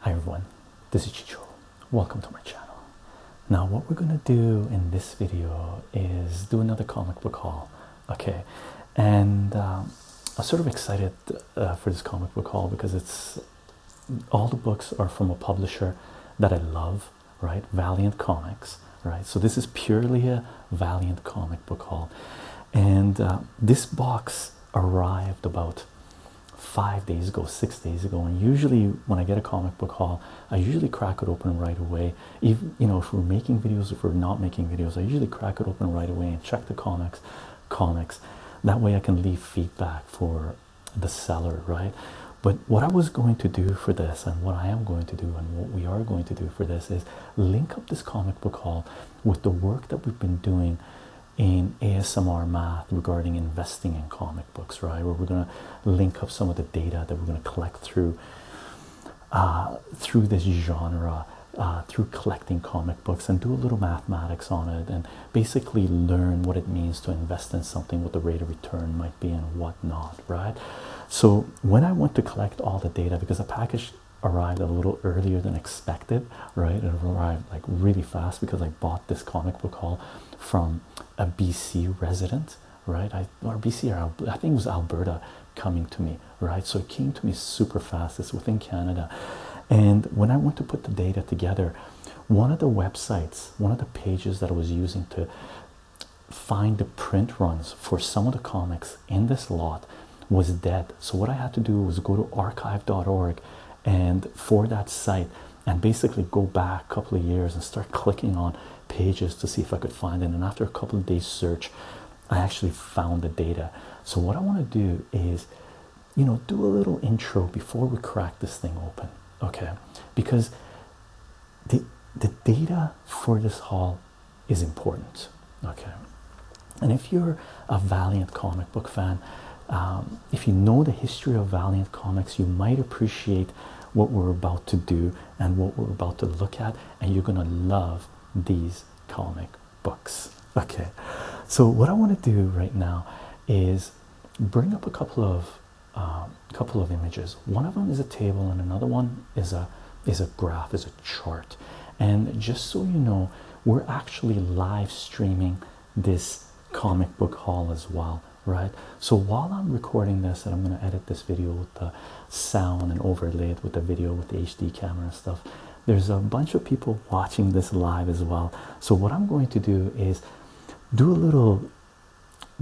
Hi everyone, this is Chicho. Welcome to my channel. Now what we're gonna do in this video is do another comic book haul, okay? And um, I'm sort of excited uh, for this comic book haul because it's all the books are from a publisher that I love right? Valiant Comics, right? So this is purely a Valiant comic book haul, and uh, this box arrived about five days ago, six days ago. And usually, when I get a comic book haul, I usually crack it open right away. If you know, if we're making videos, if we're not making videos, I usually crack it open right away and check the comics, comics. That way, I can leave feedback for the seller, right? But what I was going to do for this, and what I am going to do, and what we are going to do for this, is link up this comic book haul with the work that we've been doing in ASMR math regarding investing in comic books, right? Where we're going to link up some of the data that we're going to collect through uh, through this genre, uh, through collecting comic books, and do a little mathematics on it, and basically learn what it means to invest in something, what the rate of return might be, and what. Not right? So when I went to collect all the data, because the package arrived a little earlier than expected, right? It arrived like really fast because I bought this comic book hall from a BC resident, right? I or BC or I think it was Alberta coming to me, right? So it came to me super fast. It's within Canada, and when I went to put the data together, one of the websites, one of the pages that I was using to find the print runs for some of the comics in this lot was dead. So what I had to do was go to archive.org and for that site and basically go back a couple of years and start clicking on pages to see if I could find it. And after a couple of days search, I actually found the data. So what I want to do is, you know, do a little intro before we crack this thing open. Okay. Because the the data for this haul is important okay and if you're a valiant comic book fan um, if you know the history of valiant comics you might appreciate what we're about to do and what we're about to look at and you're gonna love these comic books okay so what i want to do right now is bring up a couple of um, couple of images. One of them is a table, and another one is a is a graph, is a chart. And just so you know, we're actually live streaming this comic book haul as well, right? So while I'm recording this, and I'm going to edit this video with the sound and overlay it with the video with the HD camera stuff. There's a bunch of people watching this live as well. So what I'm going to do is do a little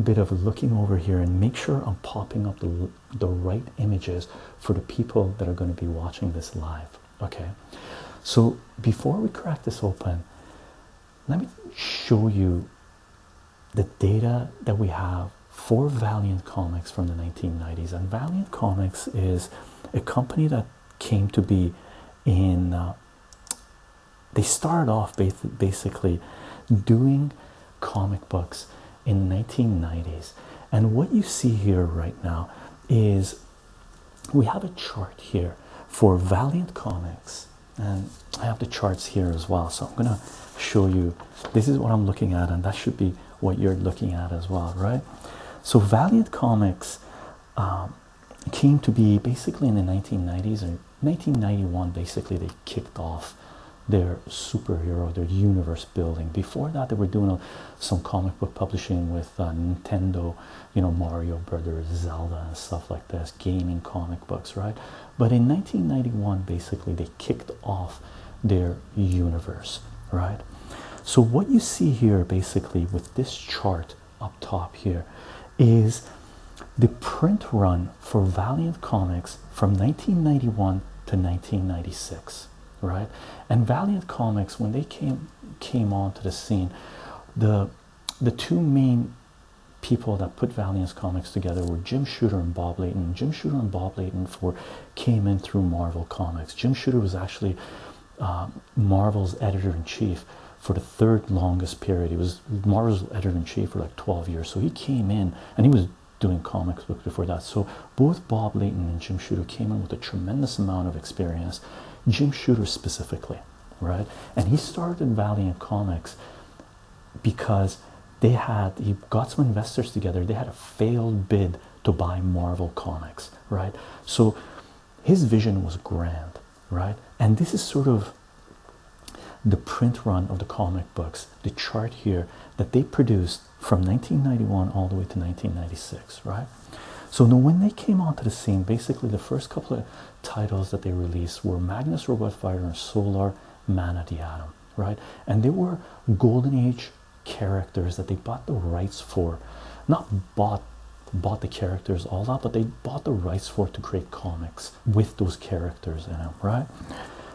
bit of looking over here and make sure I'm popping up the, the right images for the people that are going to be watching this live. Okay, so before we crack this open, let me show you the data that we have for Valiant Comics from the 1990s. And Valiant Comics is a company that came to be in. Uh, they started off basically doing comic books in the 1990s. And what you see here right now is we have a chart here for Valiant Comics, and I have the charts here as well. So I'm gonna show you this is what I'm looking at, and that should be what you're looking at as well, right? So Valiant Comics um, came to be basically in the 1990s 1991 basically they kicked off their superhero their universe building before that they were doing some comic book publishing with uh, nintendo you know mario brothers zelda and stuff like this gaming comic books right but in 1991 basically they kicked off their universe right so what you see here basically with this chart up top here is the print run for Valiant Comics from 1991 to 1996, right? And Valiant Comics, when they came came onto the scene, the the two main people that put Valiant Comics together were Jim Shooter and Bob Layton. Jim Shooter and Bob Layton for came in through Marvel Comics. Jim Shooter was actually uh, Marvel's editor in chief for the third longest period. He was Marvel's editor in chief for like 12 years. So he came in and he was doing comics books before that. So both Bob Layton and Jim Shooter came in with a tremendous amount of experience, Jim Shooter specifically, right? And he started Valiant Comics because they had he got some investors together. They had a failed bid to buy Marvel Comics, right? So his vision was grand, right? And this is sort of the print run of the comic books, the chart here that they produced from 1991 all the way to 1996, right? So now when they came onto the scene, basically the first couple of titles that they released were Magnus Robot Fighter and Solar Man of the Atom, right? And they were golden age characters that they bought the rights for. Not bought bought the characters all that, but they bought the rights for it to create comics with those characters in them, right?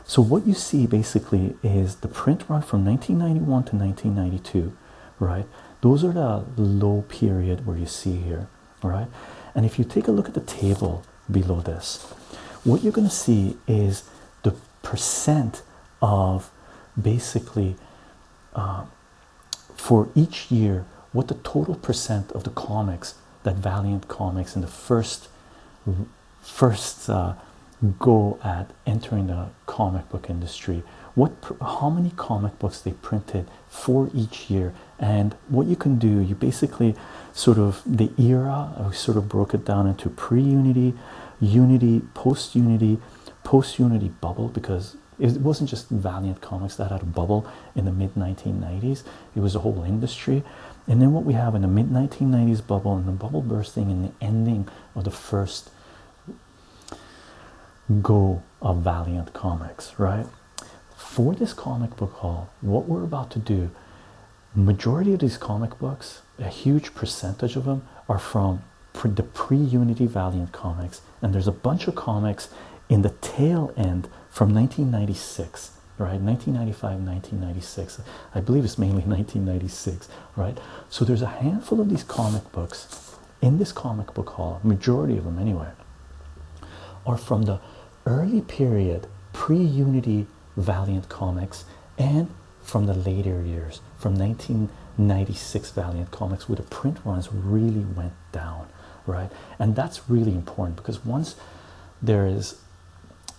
So, what you see basically is the print run from 1991 to 1992, right? Those are the low period where you see here, right? And if you take a look at the table below this, what you're going to see is the percent of basically uh, for each year what the total percent of the comics that Valiant Comics in the first first uh, go at entering the comic book industry what how many comic books they printed for each year and what you can do you basically sort of the era i uh, sort of broke it down into pre-unity unity post-unity post-unity bubble because it wasn't just valiant comics that had a bubble in the mid 1990s it was a whole industry. And then what we have in the mid 1990s bubble and the bubble bursting and the ending of the first go of Valiant Comics, right? For this comic book haul, what we're about to do, majority of these comic books, a huge percentage of them are from the pre-Unity Valiant comics, and there's a bunch of comics in the tail end from 1996 right 1995 1996 i believe it's mainly 1996 right so there's a handful of these comic books in this comic book hall. majority of them anyway are from the early period pre-unity valiant comics and from the later years from 1996 valiant comics where the print runs really went down right and that's really important because once there is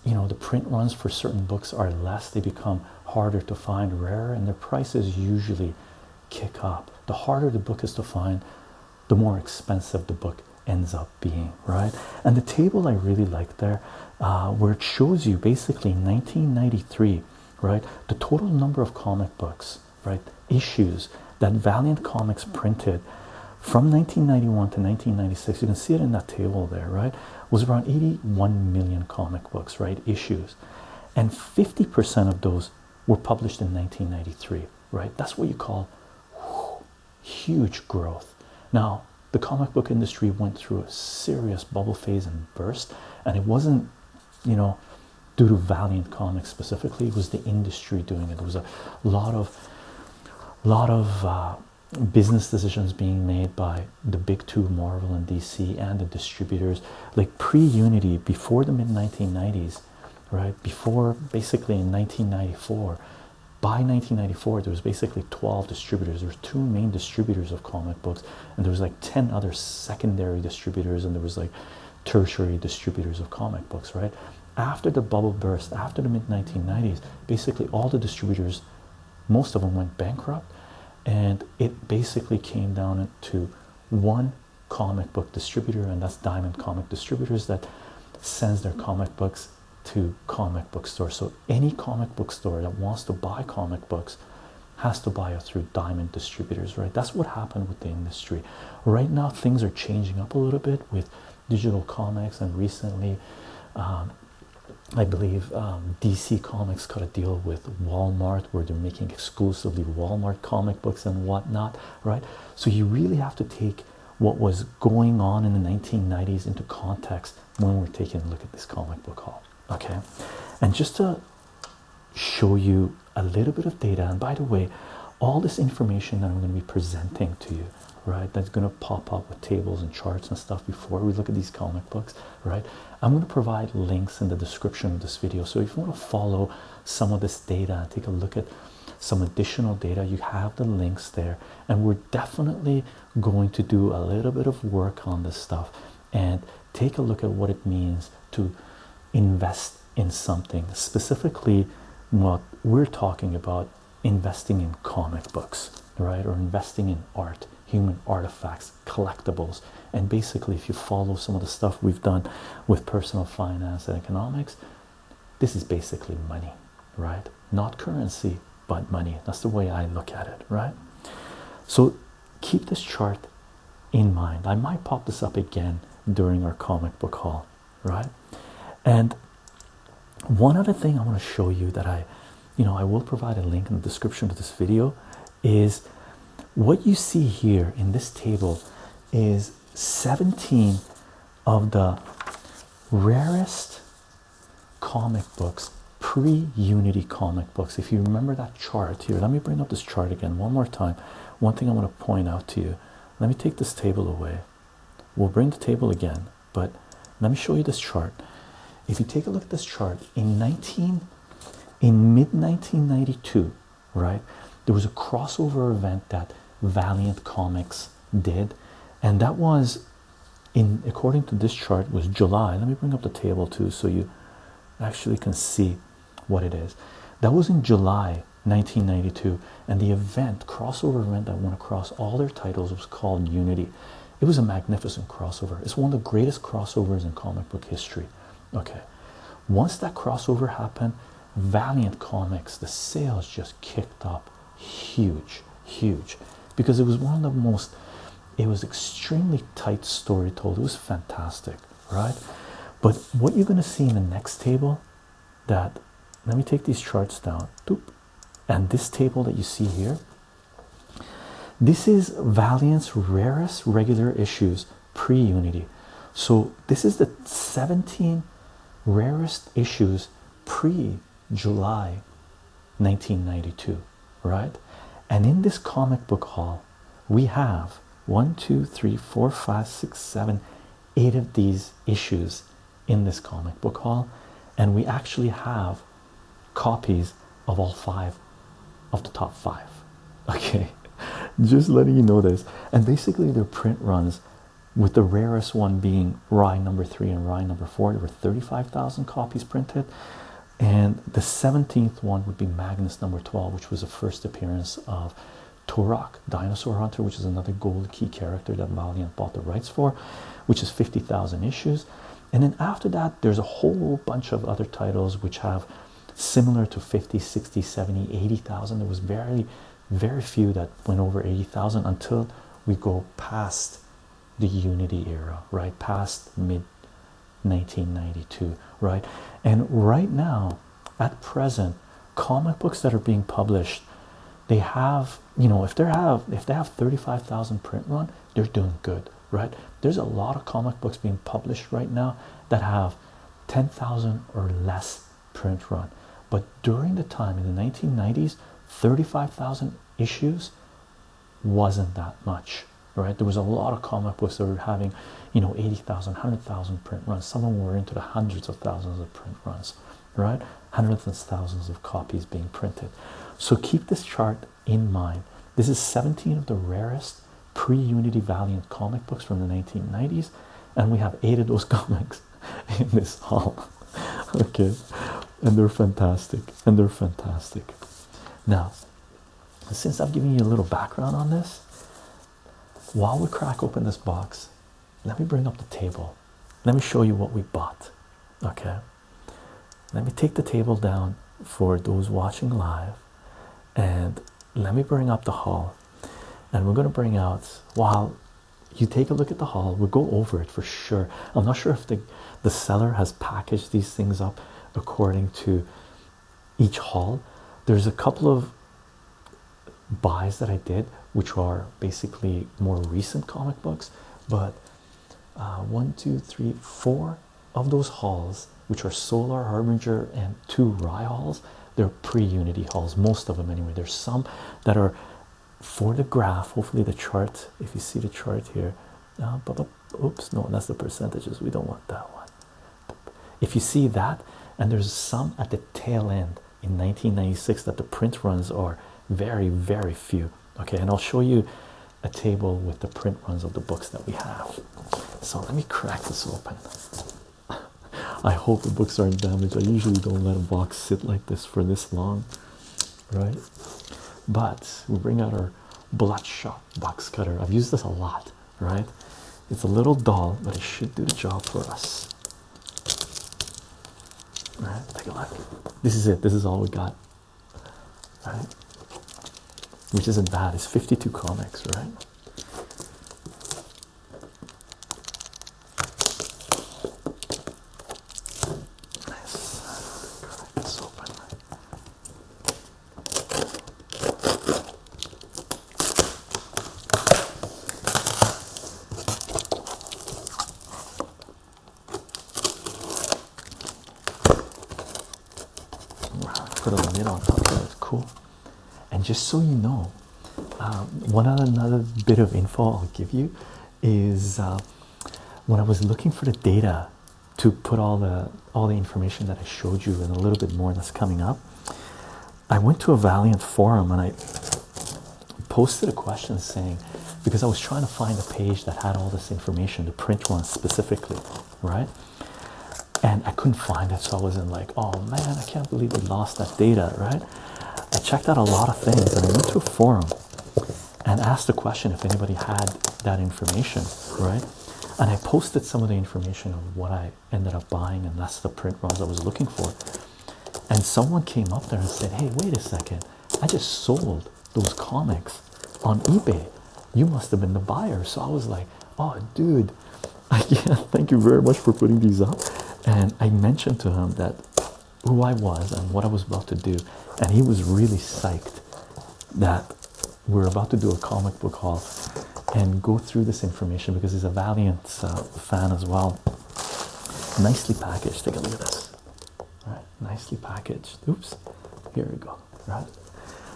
you know the print runs for certain books are less they become harder to find rarer and their prices usually kick up the harder the book is to find the more expensive the book ends up being right and the table i really like there uh, where it shows you basically 1993 right the total number of comic books right issues that valiant comics printed from 1991 to 1996 you can see it in that table there right was around 81 million comic books right issues and 50% of those were published in 1993 right that's what you call huge growth now the comic book industry went through a serious bubble phase and burst and it wasn't you know due to valiant comics specifically it was the industry doing it there was a lot of lot of uh, business decisions being made by the big two Marvel and DC and the distributors like pre-unity before the mid 1990s right before basically in 1994 by 1994 there was basically 12 distributors there were two main distributors of comic books and there was like 10 other secondary distributors and there was like tertiary distributors of comic books right after the bubble burst after the mid 1990s basically all the distributors most of them went bankrupt and it basically came down to one comic book distributor and that's diamond comic distributors that sends their comic books to comic book stores so any comic book store that wants to buy comic books has to buy it through diamond distributors right that's what happened with the industry right now things are changing up a little bit with digital comics and recently um, I believe um, DC Comics got a deal with Walmart where they're making exclusively Walmart comic books and whatnot, right? So you really have to take what was going on in the 1990s into context when we're taking a look at this comic book hall, okay? And just to show you a little bit of data, and by the way, all this information that I'm going to be presenting to you right that's going to pop up with tables and charts and stuff before we look at these comic books right i'm going to provide links in the description of this video so if you want to follow some of this data and take a look at some additional data you have the links there and we're definitely going to do a little bit of work on this stuff and take a look at what it means to invest in something specifically what we're talking about investing in comic books, right? Or investing in art, human artifacts, collectibles. And basically, if you follow some of the stuff we've done with personal finance and economics, this is basically money, right? Not currency, but money. That's the way I look at it, right? So keep this chart in mind. I might pop this up again during our comic book haul, right? And one other thing I want to show you that I, you know, I will provide a link in the description of this video is what you see here in this table is 17 of the rarest comic books, pre Unity comic books. If you remember that chart here, let me bring up this chart again one more time. One thing I want to point out to you let me take this table away. We'll bring the table again but let me show you this chart. If you take a look at this chart in 19 in mid 1992, right, there was a crossover event that Valiant Comics did, and that was in according to this chart was July. Let me bring up the table too so you actually can see what it is. That was in July 1992, and the event crossover event that went across all their titles was called Unity. It was a magnificent crossover. It's one of the greatest crossovers in comic book history. Okay, once that crossover happened, Valiant Comics, the sales just kicked up huge, huge because it was one of the most, it was extremely tight story told. It was fantastic, right? But what you're going to see in the next table that let me take these charts down, and this table that you see here this is Valiant's rarest regular issues pre Unity. So, this is the 17 rarest issues pre July 1992, right? And in this comic book haul, we have one, two, three, four, five, six, seven, eight of these issues in this comic book haul, and we actually have copies of all five of the top five. Okay, just letting you know this. And basically, their print runs, with the rarest one being Rye number three and Rye number four. There were 35,000 copies printed, and the 17th one would be Magnus number 12, which was the first appearance of. Torak, Dinosaur Hunter, which is another gold key character that Valiant bought the rights for, which is 50,000 issues and then after that there's a whole bunch of other titles which have similar to 50 60 70 80000 there was very very few that went over 80000 until we go past the unity era right past mid 1992 right and right now at present comic books that are being published they have you know if they have if they have 35,000 print run they're doing good right there's a lot of comic books being published right now that have 10,000 or less print run but during the time in the 1990s 35,000 issues wasn't that much right there was a lot of comic books that were having you know 80,000 100,000 print runs some of them were into the hundreds of thousands of print runs right hundreds and thousands of copies being printed. So keep this chart in mind. This is 17 of the rarest pre-Unity Valiant comic books from the 1990s, and we have eight of those comics in this hall. okay, and they're fantastic, and they're fantastic. Now, since I've given you a little background on this, while we crack open this box, let me bring up the table. Let me show you what we bought. Okay, let me take the table down for those watching live and let me bring up the hall. And we're going to bring out, while you take a look at the hall. we'll go over it for sure. I'm not sure if the, the seller has packaged these things up according to each hall. There's a couple of buys that I did, which are basically more recent comic books, but uh, one, two, three, four of those halls, which are Solar Harbinger and two Rye halls, they're pre-unity halls, most of them anyway. There's some that are for the graph. Hopefully, the chart, if you see the chart here, uh, uh, oops, no, that's the percentages. We don't want that one. If you see that, and there's some at the tail end in 1996 that the print runs are very, very few. Okay, and I'll show you a table with the print runs of the books that we have. So let me crack this open. I hope the books aren't damaged. I usually don't let a box sit like this for this long, right? But we bring out our bloodshot box cutter. I've used this a lot, right? It's a little dull, but it should do the job for us. All right, take a look. This is it. This is all we got right? Which isn't bad, it's 52 comics, right? Nice. Crack this open. Put a lid on top of it, cool. And just so you know, um, one other bit of info I'll give you is uh, when I was looking for the data to put all the all the information that I showed you and a little bit more that's coming up. I went to a Valiant forum and I posted a question saying, because I was trying to find a page that had all this information the print one specifically, right? And I couldn't find it, so I was in like, oh man, I can't believe we lost that data, right? I checked out a lot of things and I went to a forum and asked the question if anybody had that information, right? And I posted some of the information of what I ended up buying, and that's the print runs I was looking for. And someone came up there and said, Hey, wait a second, I just sold those comics on eBay. You must have been the buyer. So I was like, oh, dude, I can't thank you very much for putting these up. And I mentioned to him that who I was and what I was about to do. And he was really psyched that we're about to do a comic book haul and go through this information because he's a Valiant uh, fan as well. Nicely packaged. Take a look at this nicely packaged. Oops, here we go. Right,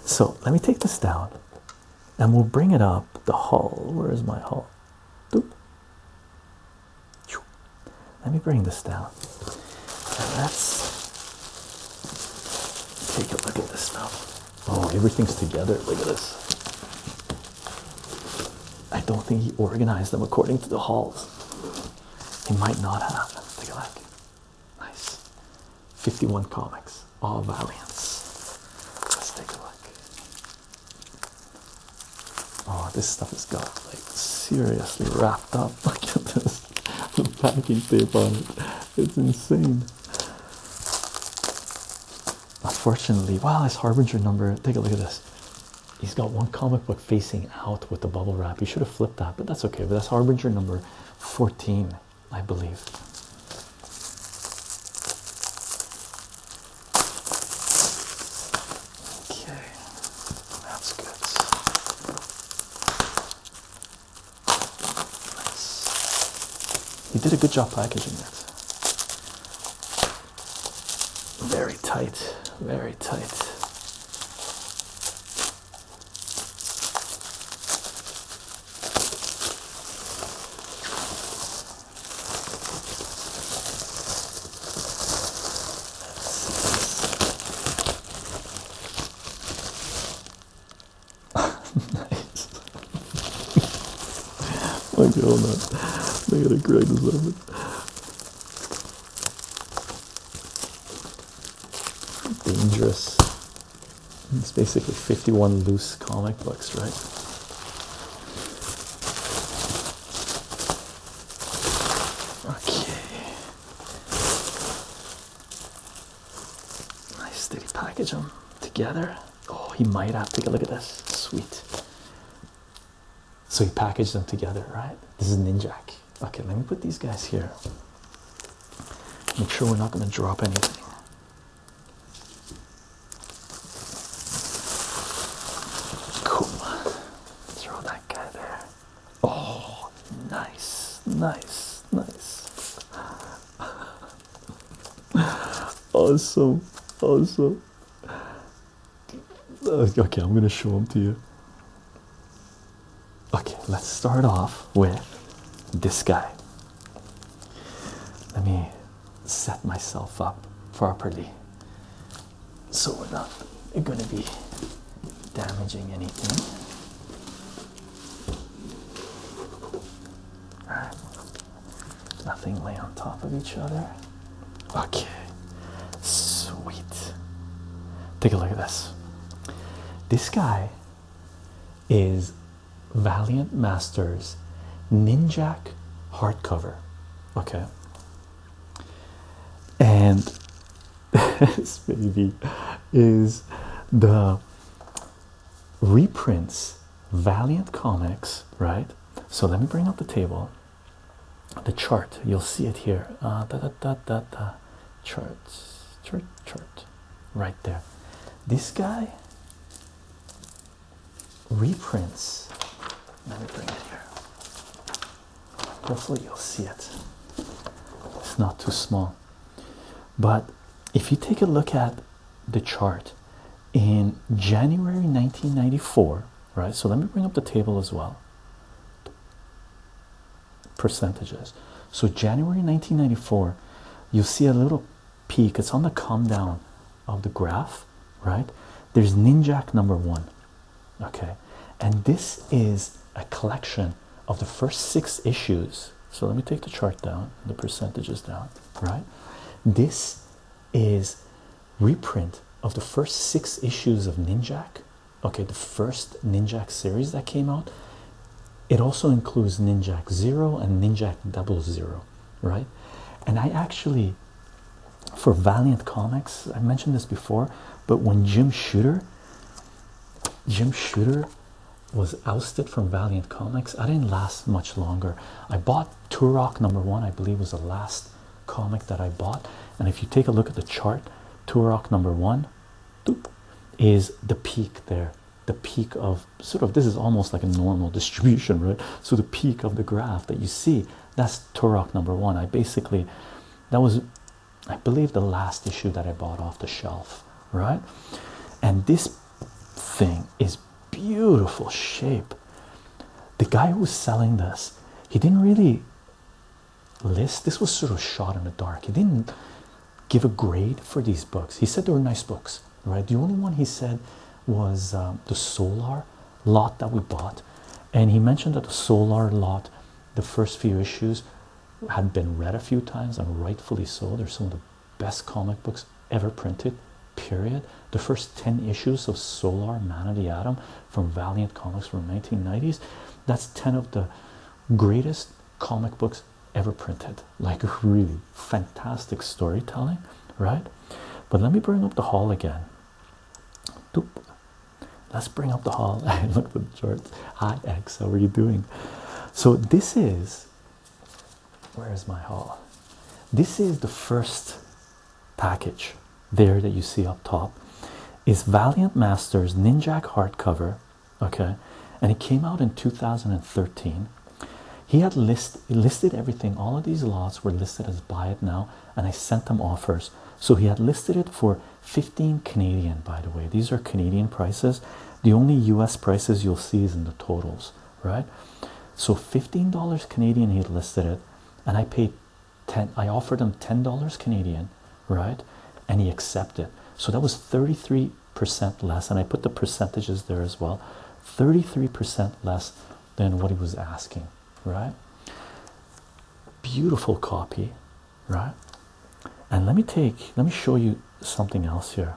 so let me take this down and we'll bring it up the hall. Where is my hall? Let me bring this down. let's take a look at this stuff. Oh, everything's together. Look at this. I don't think he organized them according to the halls. He might not have. Take a look. Nice. 51 comics, all Valiants. Let's take a look. Oh, this stuff has got like seriously wrapped up. Look at this. The packing tape on it. It's insane. Unfortunately, wow, this Harbinger number. Take a look at this. He's got one comic book facing out with the bubble wrap. You should have flipped that, but that's okay. But that's harbinger number 14, I believe. Okay, that's good. Nice. You did a good job packaging it. Very tight, very tight nice. Look at all that. Look at the greatest of it dangerous. It's basically 51 loose comic books, right? Okay. Nice. Did he package them together? Oh, he might have. Take a look at this. Sweet. So he packaged them together, right? This is Ninjak. Okay, let me put these guys here. Make sure we're not going to drop anything. Cool. Throw that guy there. Oh, nice, nice, nice. awesome, awesome. Uh, okay, I'm going to show them to you. Okay, let's start off with this guy. Let me set myself up properly so we're not going to be damaging anything. All right, nothing lay on top of each other. Okay, sweet. Take a look at this. This guy is Valiant Masters Ninjak hardcover. Okay. And this baby is the reprints Valiant Comics, right? So let me bring up the table, the chart. You'll see it here. Uh, da, da, da, da, da chart chart chart right there this guy reprints let me bring it here hopefully you'll see it it's not too small but if you take a look at the chart in January 1994 right so let me bring up the table as well percentages. So January 1994, you see a little peak. It's on the come down of the graph, right? There's Ninjak number one, okay? And this is a collection of the first six issues. So let me take the chart down, the percentages down, right? This is reprint of the first six issues of Ninjak okay the first ninjak series that came out it also includes ninjak 0 and ninjak double zero right and i actually for valiant comics i mentioned this before but when jim shooter jim shooter was ousted from valiant comics i didn't last much longer i bought turok number one i believe was the last comic that i bought and if you take a look at the chart turok number one is the peak there. The peak of sort of this is almost like a normal distribution, right? So the peak of the graph that you see that's Turok number one. I basically that was, I believe, the last issue that I bought off the shelf, right? And this thing is beautiful shape. The guy who was selling this, he didn't really list. This was sort of shot in the dark. He didn't give a grade for these books. He said they were nice books, right? The only one he said was um, the Solar lot that we bought, and he mentioned that the Solar lot, the first few issues, had been read a few times and rightfully so. They're some of the best comic books ever printed. Period. The first 10 issues of Solar Man of the Atom from Valiant Comics from 1990s. That's 10 of the greatest comic books ever printed. Like, really fantastic storytelling, right? But let me bring up the hall again. Let's bring up the hall and look for the shorts. Hi, X, how are you doing? So, this is where is my hall? This is the first package there that you see up top. Is Valiant Masters Ninjak hardcover okay and it came out in 2013 he had list listed everything all of these lots were listed as buy it now and i sent them offers so he had listed it for 15 canadian by the way these are canadian prices the only us prices you'll see is in the totals right so 15 canadian he listed it and i paid 10 i offered him 10 canadian right? And he accepted. So that was 33% less. And I put the percentages there as well 33% less than what he was asking, right? Beautiful copy, right? And let me take, let me show you something else here.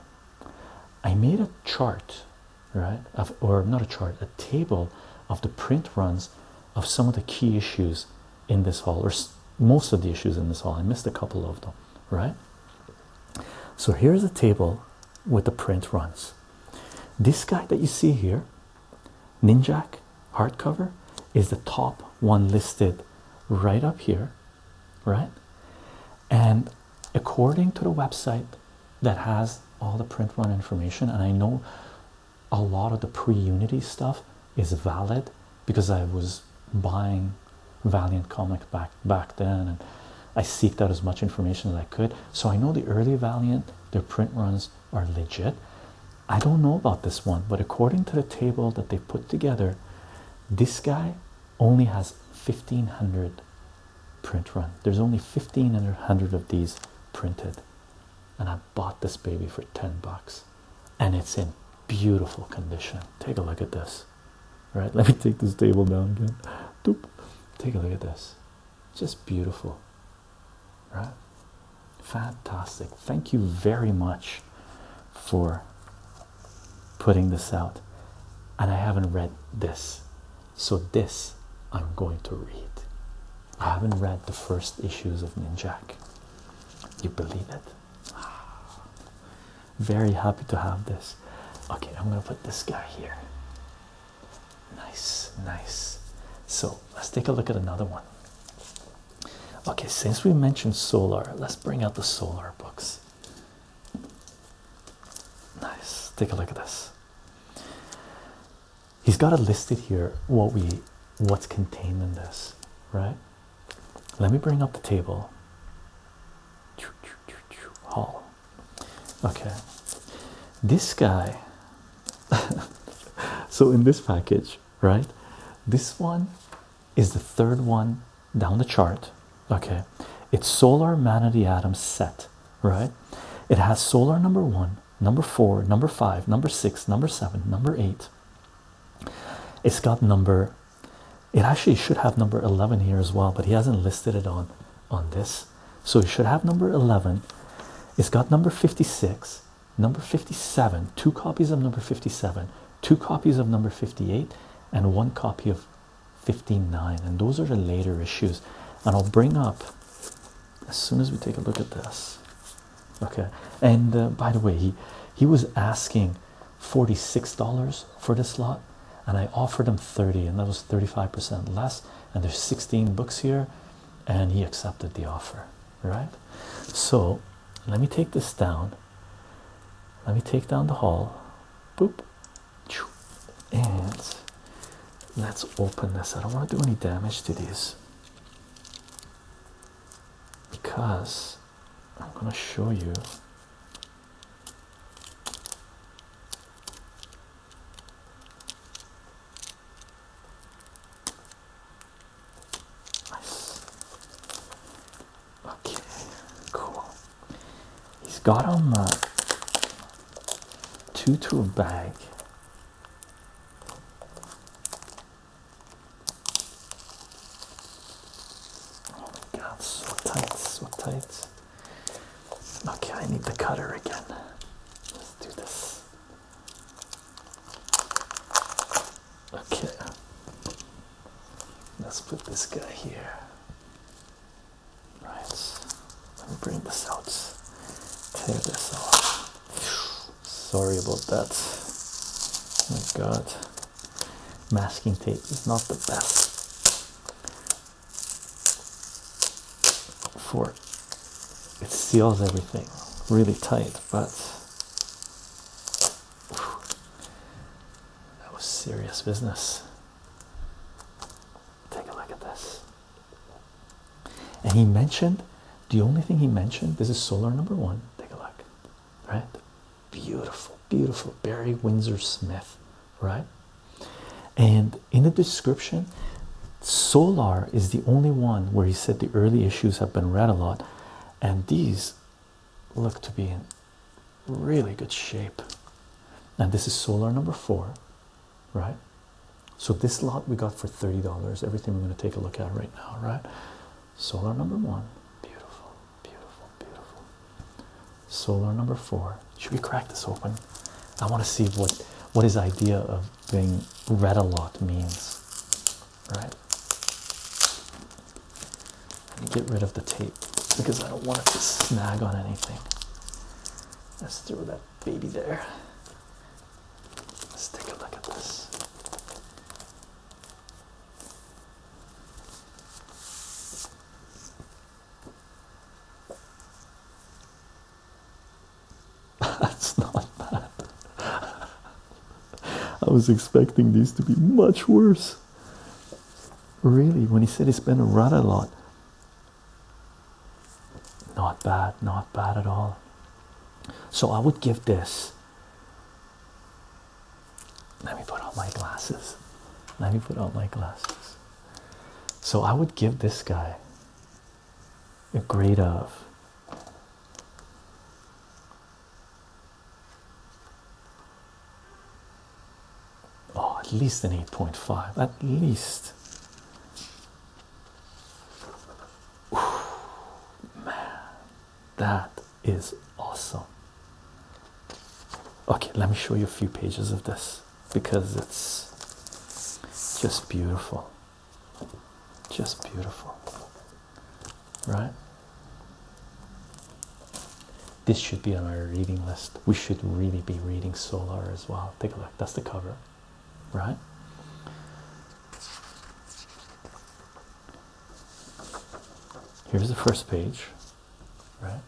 I made a chart, right? or not a chart, a table of the print runs of some of the key issues in this hall, or most of the issues in this hall. I missed a couple of them, right? So here's a table with the print runs. This guy that you see here, Ninjak hardcover, is the top one listed right up here, right? And according to the website that has all the print run information, and I know a lot of the pre-unity stuff is valid because I was buying Valiant comic back back then and I seeked out as much information as I could. So I know the early Valiant, their print runs are legit. I don't know about this one, but according to the table that they put together, this guy only has 1500 print run. There's only 1500 of these printed, and I bought this baby for 10 bucks and it's in beautiful condition. Take a look at this. Right? Let me take this table down again. Doop. Take a look at this. Just beautiful. Right? Fantastic. Thank you very much for putting this out. And I haven't read this. So this I'm going to read. I haven't read the first issues of Ninjak. You believe it? Very happy to have this. Okay, I'm gonna put this guy here. Nice, nice. So let's take a look at another one. Okay, since we mentioned solar, let's bring out the solar books. Nice, take a look at this. He's got it listed here what we what's contained in this, right? let me bring up the table. Hall. Okay. This guy. so in this package, right? This one is the third one down the chart. Okay. It's solar Manatee of atom set, right? It has solar number one, number four, number five, number six, number seven, number eight. It's got number it actually should have number 11 here as well but he hasn't listed it on on this so he should have number 11 it's got number 56 number 57 two copies of number 57 two copies of number 58 and one copy of 59 and those are the later issues and i'll bring up as soon as we take a look at this okay and uh, by the way he he was asking $46 for this lot and I offered him 30 and that was 35% less and there's 16 books here and he accepted the offer right so let me take this down let me take down the hall boop and let's open this I don't want to do any damage to this because I'm going to show you nice okay cool he's got on the uh, two to a bag Oh my god, so tight, so tight. Okay, I need the cutter again. Let's do this. Okay, let's put this guy here. Right, let me bring this out. Tear this off. Sorry about that. Oh my god masking tape is not the best for it, it seals everything really tight, but that was serious business. Take a look at this. And he mentioned the only thing he mentioned this is solar number one. Take a look right? Beautiful, beautiful Barry Windsor Smith, right? And in the description, Solar is the only one where he said the early issues have been read a lot, and these look to be in really good shape. And this is Solar number four, right? So, this lot we got for $30. Everything we're going to take a look at right now, right? Solar number one. Beautiful, beautiful, beautiful. Solar number four. Should we crack this open? I want to see what what his idea of being read a lot means. Right? get rid of the tape because I don't want it to snag on anything. Let's throw that baby there. Let's take a look at this. That's not bad. I was expecting these to be much worse. Really, when he said he been a run a lot, not bad, not bad at all. So I would give this let me put on my glasses. Let me put on my glasses. So I would give this guy a grade of oh at least an 8.5 at least man that is awesome. Okay, let me show you a few pages of this because it's just beautiful. Just beautiful. Right? This should be on our reading list. We should really be reading Solar as well. Take a look. That's the cover, right? Here's the first page, right?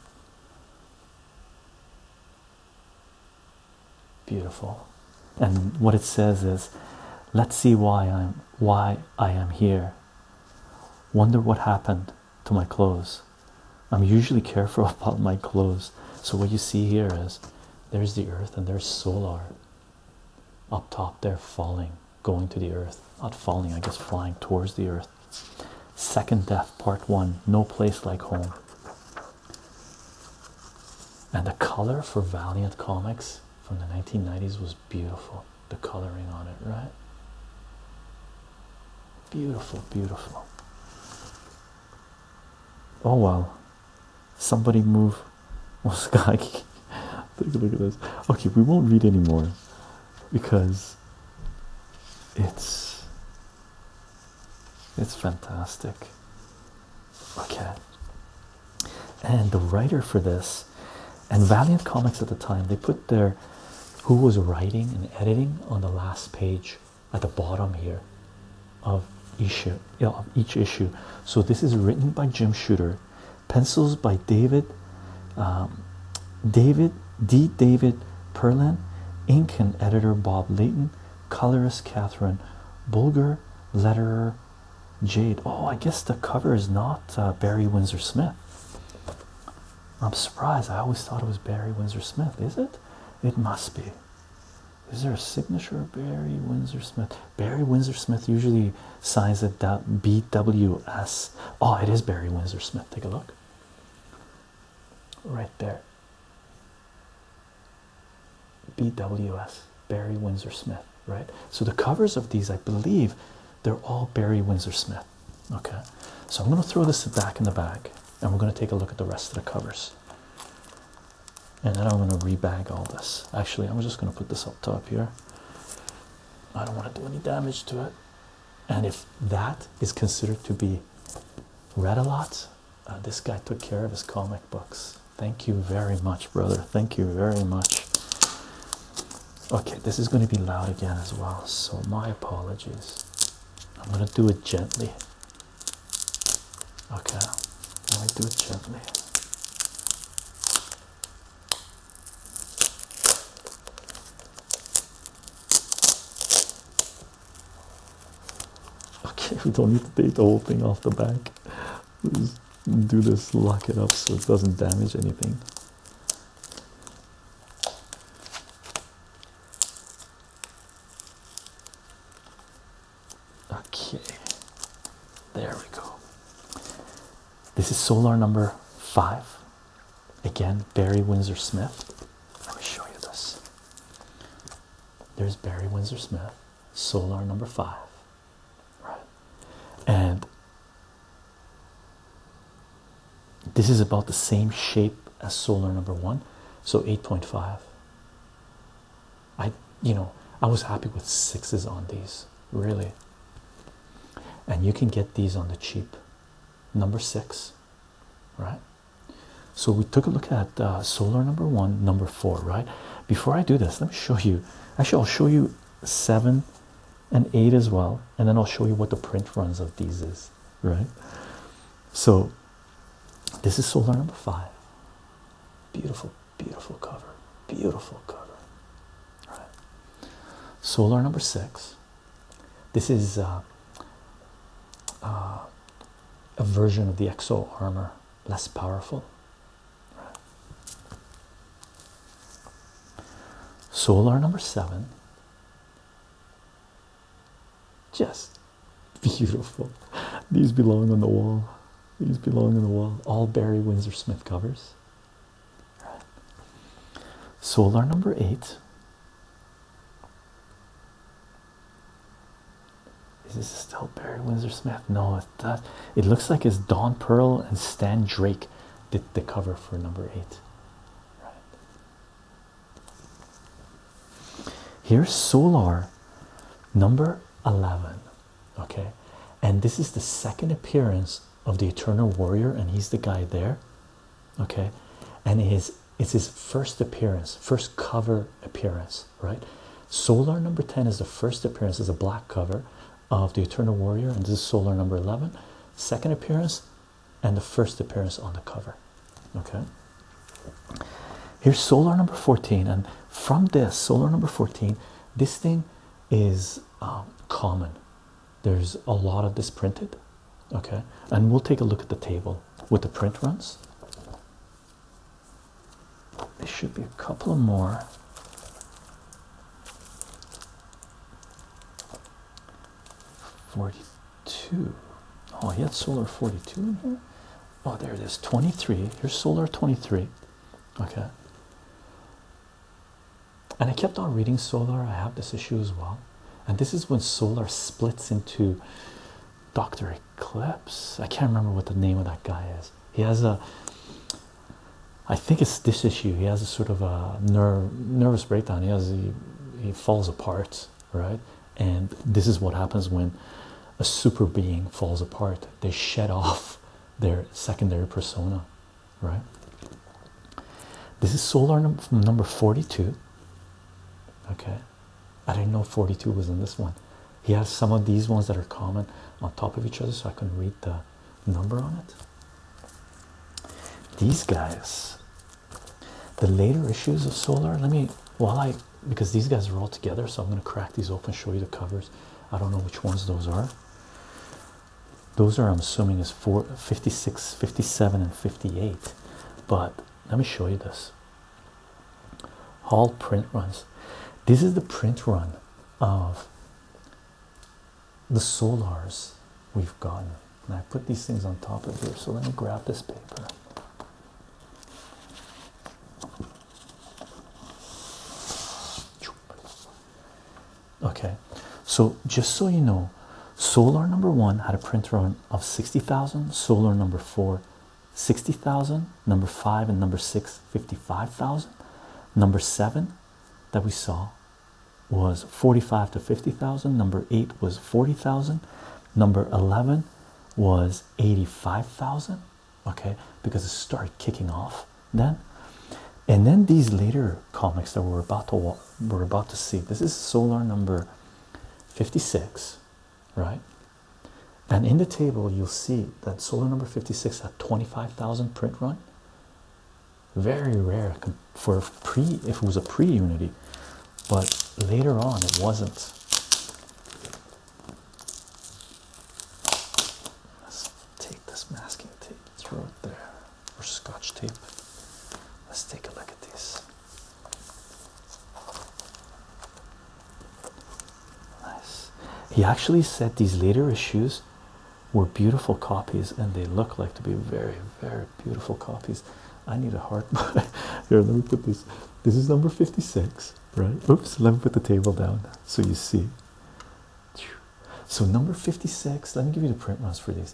Beautiful. And what it says is, let's see why I'm why I am here. Wonder what happened to my clothes. I'm usually careful about my clothes. So what you see here is there's the earth and there's solar up top they're falling going to the earth, not falling, I guess, flying towards the earth. Second Death, Part One, No Place Like Home. And the color for Valiant Comics from the 1990s was beautiful. The coloring on it, right? Beautiful, beautiful. Oh well, somebody move. Oh Sky, take a look at this. Okay, we won't read anymore because it's it's fantastic. Okay. And the writer for this and Valiant Comics at the time, they put their who was writing and editing on the last page at the bottom here of issue, of each issue. So this is written by Jim Shooter pencils by David um, David D. David Perlin, ink and editor Bob Layton, colorist Catherine Bulger, letterer Jade. Oh, I guess the cover is not uh, Barry Windsor Smith. I'm surprised. I always thought it was Barry Windsor Smith. Is it? It must be. Is there a signature Barry Windsor Smith? Barry Windsor Smith usually signs of that BWS. Oh, it is Barry Windsor Smith. Take a look right there. BWS, Barry Windsor Smith, right? So the covers of these, I believe, they're all Barry Windsor Smith. Okay, so I'm going to throw this back in the bag and we're going to take a look at the rest of the covers. And then I'm going to rebag all this. Actually, I'm just going to put this up top here. I don't want to do any damage to it and if that is considered to be read a lot, uh, this guy took care of his comic books. Thank you very much, brother. Thank you very much. Okay, this is going to be loud again as well, so my apologies. I'm going to do it gently. Okay, I'm going to do it gently. Okay, we don't need to take the whole thing off the back. let do this, lock it up so it doesn't damage anything. Okay, there we go. This is solar number five. Again, Barry Windsor Smith. Let me show you this. There's Barry Windsor Smith, Solar number five. Right. And this is about the same shape as solar number one, so 8.5. I, you know, I was happy with sixes on these, really. And you can get these on the cheap number six, right? So we took a look at uh, solar number one, number four, right? Before I do this, let me show you. Actually, I'll show you seven and eight as well, and then I'll show you what the print runs of these is, right? So this is solar number five. Beautiful, beautiful cover, beautiful cover. Right. Solar number six, this is uh, uh, a version of the Exo armor, less powerful. Solar number seven. Just beautiful. These belong on the wall. These belong on the wall. All Barry Windsor Smith covers. Solar number eight. Is this still Barry Windsor Smith? No, it does. It looks like it's Don Pearl and Stan Drake did the cover for number eight. Right. Here's Solar number 11. Okay, and this is the second appearance of the Eternal Warrior, and he's the guy there okay and his it's his first appearance first cover appearance right solar number 10 is the first appearance as a black cover of the eternal warrior and this is solar number 11 second appearance and the first appearance on the cover okay here's solar number 14 and from this solar number 14 this thing is um, common there's a lot of this printed okay and we'll take a look at the table with the print runs there should be a couple more Forty-two. Oh, he had solar forty-two in here. Oh, there it is. Twenty-three. Here's solar twenty-three. Okay and I kept on reading Solar. I have this issue as well, and this is when Solar splits into Doctor Eclipse. I can't remember what the name of that guy is. He has a, I think it's this issue. He has a sort of a nerve nervous breakdown. He has he he falls apart, right? And this is what happens when a super being falls apart. They shed off their secondary persona right? This is solar number 42. Okay, I didn't know 42 was in this one. He has some of these ones that are common on top of each other, so I can read the number on it. These guys, the later issues of solar, let me while I because these guys are all together, so I'm going to crack these open, show you the covers. I don't know which ones those are. Those are, I'm assuming, is four, 56, 57, and 58. But let me show you this. All print runs. This is the print run of the solars we've gotten. And I put these things on top of here. So let me grab this paper okay so just so you know solar number one had a print run of 60,000 solar number four 60,000 number five and number six 55,000 number seven that we saw was 45 to 50,000 number eight was 40,000 number 11 was 85,000 okay because it started kicking off then and then these later comics that we're about to we're about to see. This is Solar number 56, right? And in the table, you'll see that Solar number 56 had 25,000 print run. Very rare for pre if it was a pre-unity, but later on it wasn't. Let's take this masking tape throw it there or scotch tape. Let's take a look at this. Nice. He actually said these later issues were beautiful copies and they look like to be very, very beautiful copies. I need a heart. Here, let me put this. This is number 56, right? Oops, let me put the table down so you see. So, number 56, let me give you the print runs for these.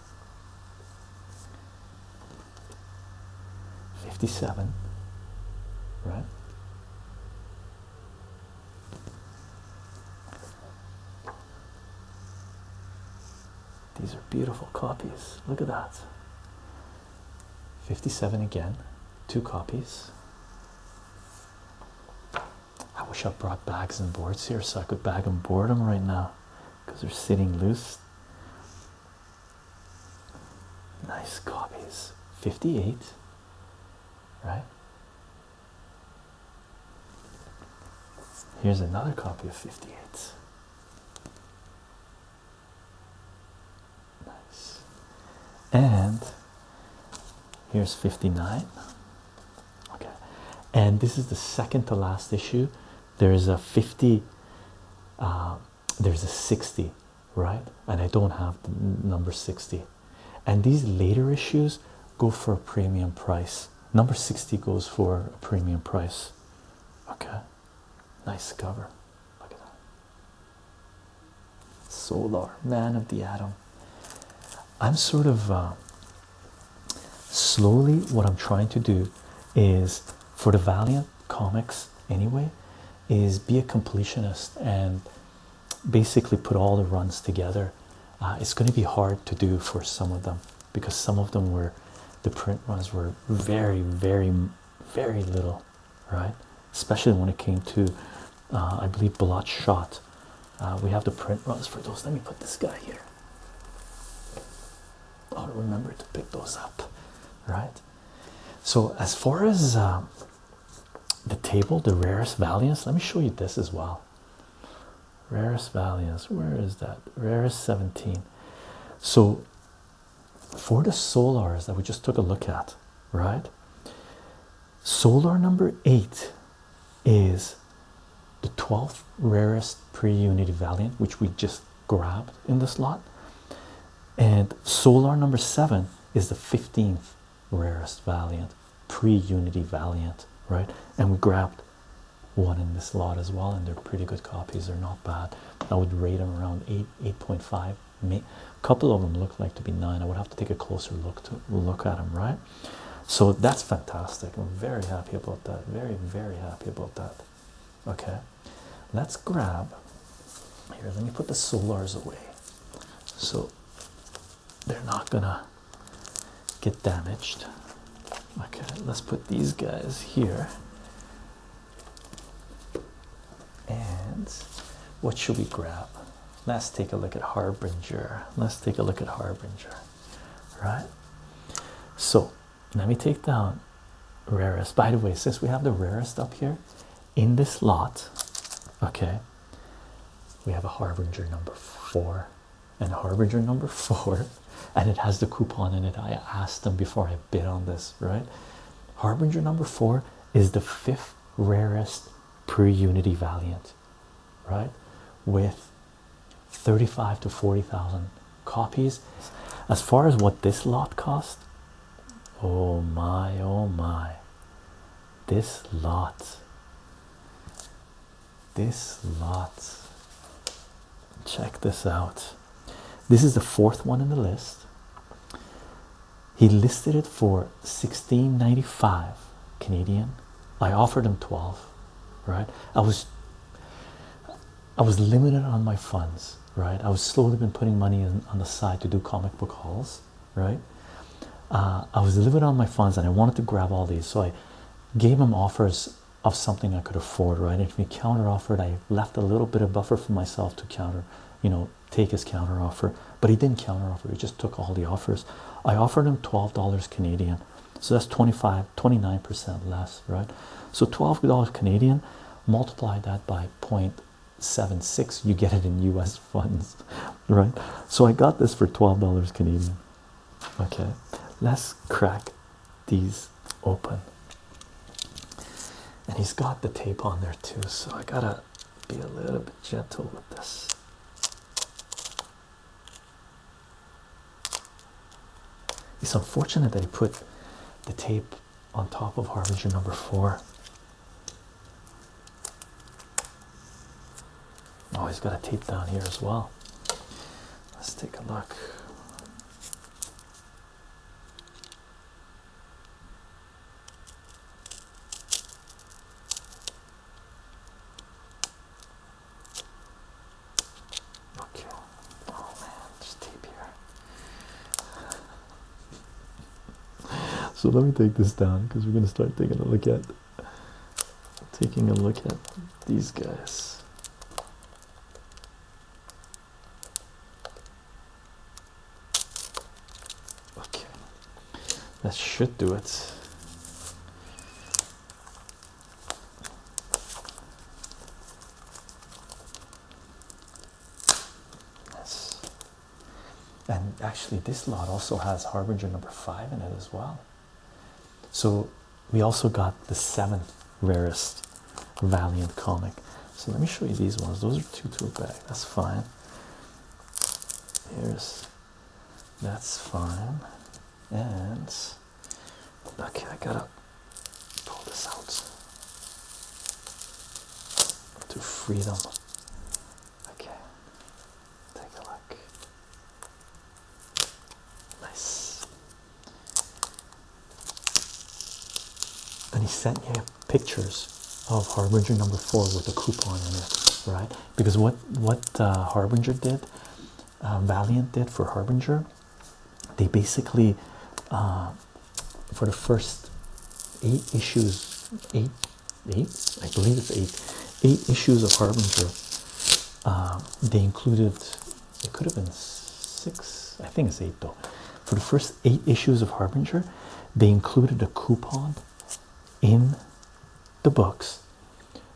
57 right these are beautiful copies look at that 57 again two copies I wish I brought bags and boards here so I could bag and board them right now because they're sitting loose Nice copies. 58, right? Here's another copy of 58. Nice. And here's 59. Okay. And this is the second to last issue there's a 50 uh, there's a 60 right and i don't have number 60 and these later issues go for a premium price number 60 goes for a premium price okay nice cover look at that solar man of the atom i'm sort of uh, slowly what i'm trying to do is for the Valiant comics anyway is be a completionist and basically put all the runs together. Uh, it's going to be hard to do for some of them because some of them were the print runs were very, very, very little, right? Especially when it came to, uh, I believe, Bloodshot. Uh, we have the print runs for those. Let me put this guy here. I'll remember to pick those up, right? So, as far as um, the table, the rarest valiants, let me show you this as well. Rarest valiants, where is that? Rarest 17. So, for the solars that we just took a look at, right? Solar number eight is the 12th rarest pre unit valiant, which we just grabbed in the slot, And Solar number seven is the 15th rarest Valiant, pre Unity Valiant, right? And we grabbed one in this slot as well, and they're pretty good copies, they're not bad. I would rate them around 8, 8.5. A couple of them look like to be 9. I would have to take a closer look to look at them, right? So that's fantastic. I'm very happy about that. Very, very happy about that. Okay, let's grab here. Let me put the solars away so they're not gonna get damaged. Okay, let's put these guys here. And what should we grab? Let's take a look at Harbinger. Let's take a look at Harbinger, right? So let me take down rarest by the way since we have the rarest up here in this lot okay we have a harbinger number four and harbinger number four and it has the coupon in it i asked them before i bid on this right harbinger number four is the fifth rarest pre-unity valiant right with 35 to 40,000 copies. As far as what this lot cost, oh my, oh my, this lot, this lot. Check this out. This is the fourth one in the list. He listed it for 16.95 Canadian. I offered him 12, right? I was I was limited on my funds, right? I was slowly been putting money in, on the side to do comic book hauls, right? Uh, I was limited on my funds and I wanted to grab all these, so I gave him offers of something I could afford, right? If he counter offered, I left a little bit of buffer for myself to counter, you know, take his counter offer, but he didn't counter offer, he just took all the offers. I offered him $12 Canadian, so that's 25 29% less, right? So $12 Canadian, multiply that by 0.76, you get it in US funds, right? So I got this for $12 Canadian. Okay, let's crack these open. And he's got the tape on there too, so I gotta be a little bit gentle with this. It's unfortunate that he put the tape on top of Harbinger number four. Oh, he's got a tape down here as well. Let's take a look. Okay. Oh man, there's tape here. so let me take this down because we're gonna start taking a look at taking a look at these guys. Okay. That should do it. That's, and actually, this lot also has Harbinger number five in it as well. So we also got the seventh rarest Valiant comic. So let me show you these ones. Those are two to a bag. That's fine. Here's that's fine. And okay, I got a pull this out to freedom. Okay, take a look. Nice. And he sent me pictures of Harbinger number four with a coupon in it, right? Because what what uh, Harbinger did, uh, Valiant did for Harbinger they basically uh, for the first eight issues eight eight i believe it's eight eight issues of harbinger uh, they included it could have been six i think it's eight though for the first eight issues of harbinger they included a coupon in the books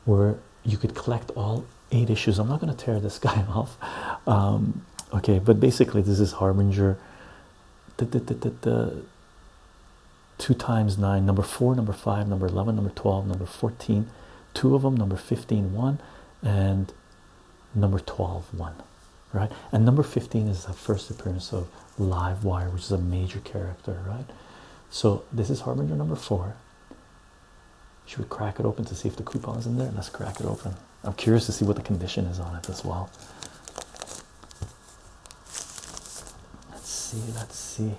where you could collect all eight issues i'm not going to tear this guy off um, okay but basically this is harbinger two times nine number four number five number 11 number 12 number 14 two of them number 15 one and number 12 one right and number 15 is the first appearance of Live Wire, which is a major character right so this is harbinger number four should we crack it open to see if the coupon's in there? Let's crack it open. I'm curious to see what the condition is on it as well. Let's see, let's see.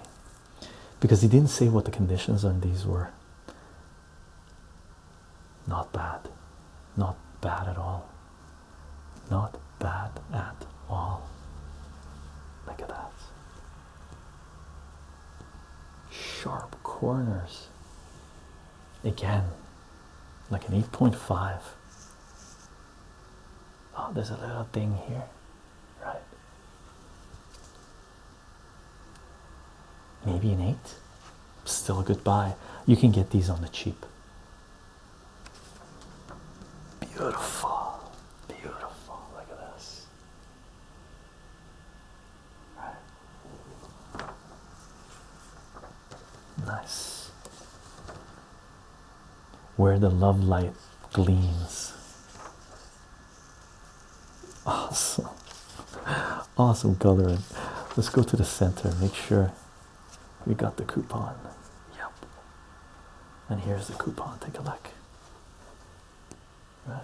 Because he didn't say what the conditions on these were. Not bad. Not bad at all. Not bad at all. Look at that. Sharp corners again like an 8.5 oh there's a little thing here right maybe an 8 still a good buy you can get these on the cheap beautiful beautiful look at this Nice. Where the love light gleams. Awesome. Awesome coloring. Let's go to the center, make sure we got the coupon. Yep. And here's the coupon. Take a look. Right.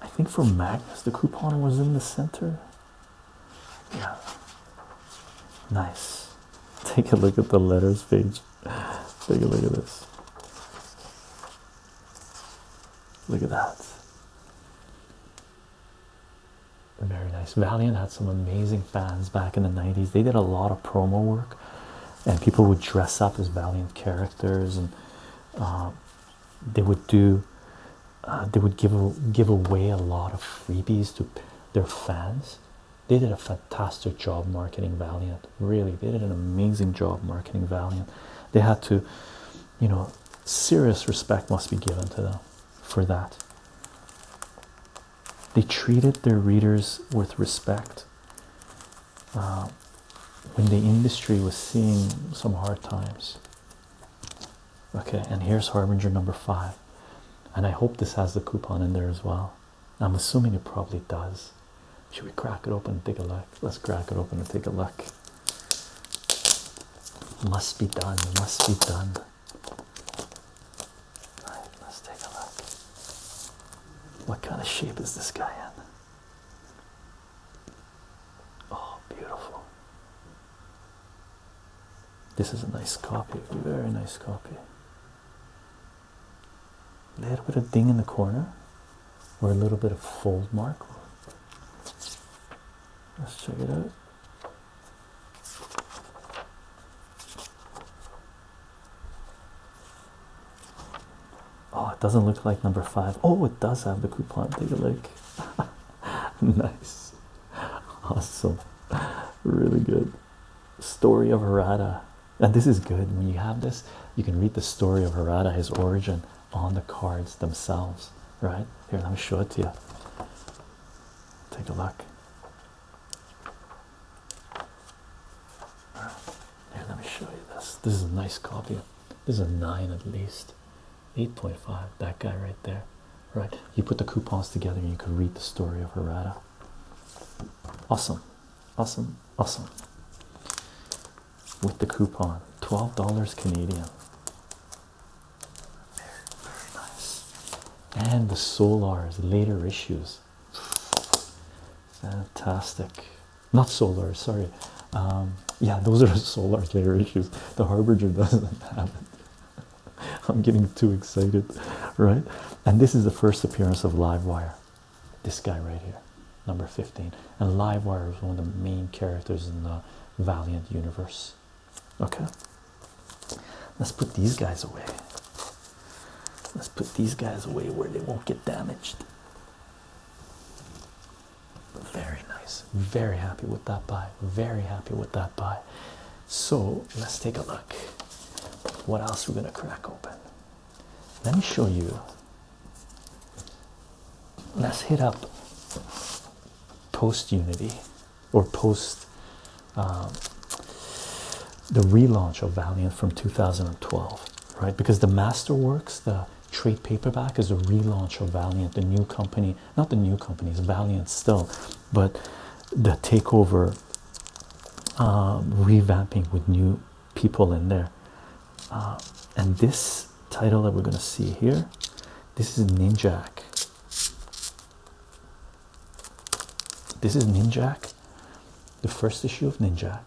I think for Magnus, the coupon was in the center. Yeah, nice. Take a look at the letters page. Take a look at this. Look at that. Very nice. Valiant had some amazing fans back in the 90s. They did a lot of promo work and people would dress up as valiant characters and uh, they would do uh, they would give give away a lot of freebies to their fans they did a fantastic job marketing valiant really they did an amazing job marketing valiant they had to you know serious respect must be given to them for that they treated their readers with respect uh, when the industry was seeing some hard times. Okay, and here's Harbinger number five. And I hope this has the coupon in there as well. I'm assuming it probably does. Should we crack it open and take a look? Let's crack it open and take a look. Must be done, must be done right, let's take a look. What kind of shape is this guy in? Oh, beautiful. This is a nice copy, very nice copy. A little bit of ding in the corner, or a little bit of fold mark. Let's check it out. Oh, it doesn't look like number five. Oh, it does have the coupon. Take a look. nice, awesome, really good. Story of Harada, and this is good. When you have this, you can read the story of Harada, his origin, on the cards themselves. Right here, let me show it to you. Take a look let me show you this. This is a nice copy. This is a nine at least, eight point five. That guy right there, right? You put the coupons together, and you could read the story of Herrera. Awesome, awesome, awesome. With the coupon, twelve dollars Canadian. very nice. And the Solars later issues. Fantastic. Not solar, sorry. Um, yeah, those are solar layer issues. The harbinger doesn't have it. I'm getting too excited, right? And this is the first appearance of Livewire. This guy right here, number 15. And Livewire is one of the main characters in the Valiant universe. Okay, let's put these guys away. Let's put these guys away where they won't get damaged. Very nice. Very happy with that buy. Very happy with that buy. So let's take a look. What else we're gonna crack open? Let me show you. Let's hit up post Unity or post um, the relaunch of Valiant from 2012, right? Because the Masterworks, the trade paperback, is a relaunch of Valiant, the new company, not the new company, it's Valiant still, but the takeover, um, revamping with new people in there. Uh, and this title that we're going to see here, this is Ninjak. This is Ninjak the first issue of Ninjak,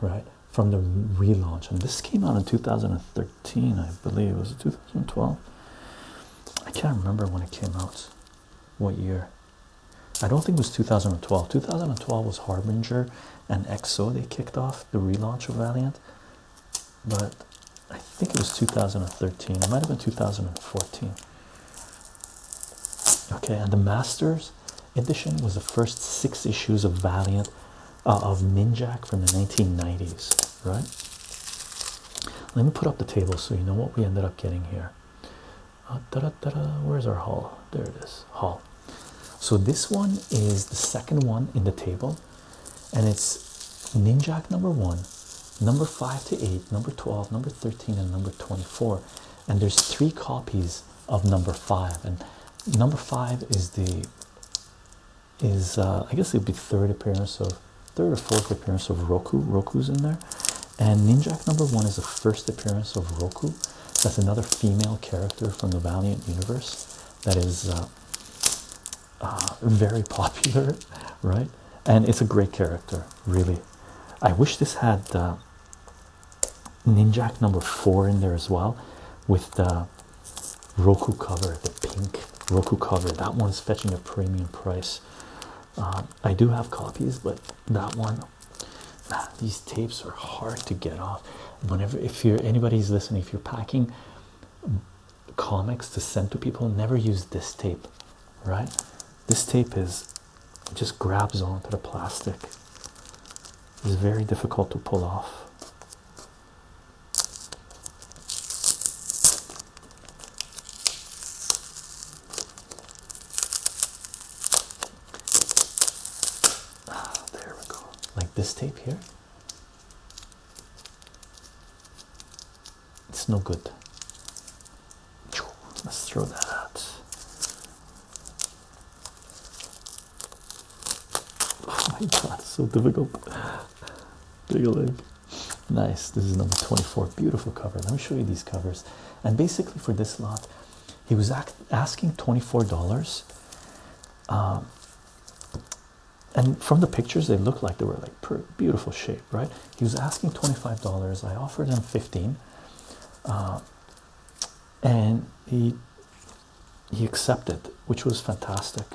right? From the relaunch, and this came out in 2013, I believe. Was it 2012? I can't remember when it came out. What year? I don't think it was 2012. 2012 was Harbinger and EXO. They kicked off the relaunch of Valiant, but I think it was 2013. It might have been 2014 okay and the masters edition was the first six issues of valiant uh, of ninjak from the 1990s right let me put up the table so you know what we ended up getting here da -da -da where's our hall? there it is hall. so this one is the second one in the table and it's ninjak number one number five to eight number 12 number 13 and number 24 and there's three copies of number five, and number five is the is uh, I guess it would be third appearance of third or fourth appearance of Roku. Roku's in there, and Ninjak number one is the first appearance of Roku. That's another female character from the Valiant universe that is uh, uh, very popular, right? And it's a great character, really. I wish this had. Uh, Ninjak number four in there as well with the Roku cover, the pink Roku cover. That one's fetching a premium price. Um, I do have copies, but that one, these tapes are hard to get off. Whenever, if you're anybody's listening, if you're packing comics to send to people, never use this tape, right? This tape is it just grabs onto the plastic. It's very difficult to pull off. Ah, there we go. Like this tape here. It's no good. Let's throw that out. Oh my god, so difficult. Take a look. Nice. This is number 24. Beautiful cover. Let me show you these covers. And basically, for this lot, he was asking $24. Um, and from the pictures, they looked like they were like beautiful shape, right? He was asking $25. I offered him $15. Uh, and he he accepted, which was fantastic.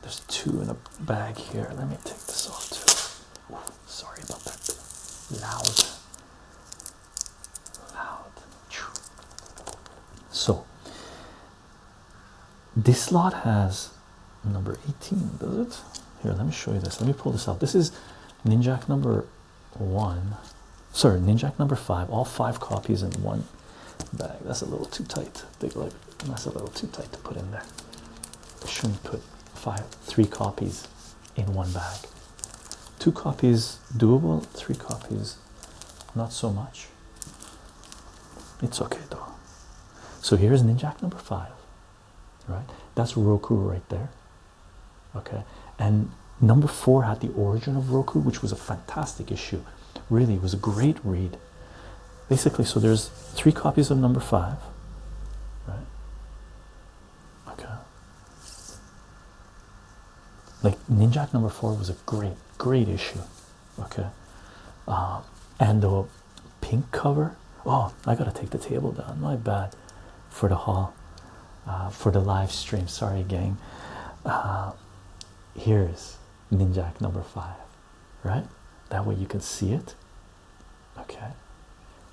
There's two in a bag here. Let me take this off too. sorry about that. Loud, loud. So this lot has number 18, does it? Here, let me show you this. Let me pull this out. This is Ninjak number one sorry ninjak number five all five copies in one bag that's a little too tight that's a little too tight to put in there shouldn't put five three copies in one bag two copies doable three copies not so much it's okay though so here's ninjak number five right that's roku right there okay and number four had the origin of roku which was a fantastic issue really it was a great read basically so there's three copies of number five right okay like ninjak number four was a great great issue okay um, and the pink cover oh i gotta take the table down my bad for the hall uh, for the live stream sorry gang uh, here's ninjak number five right that way you can see it okay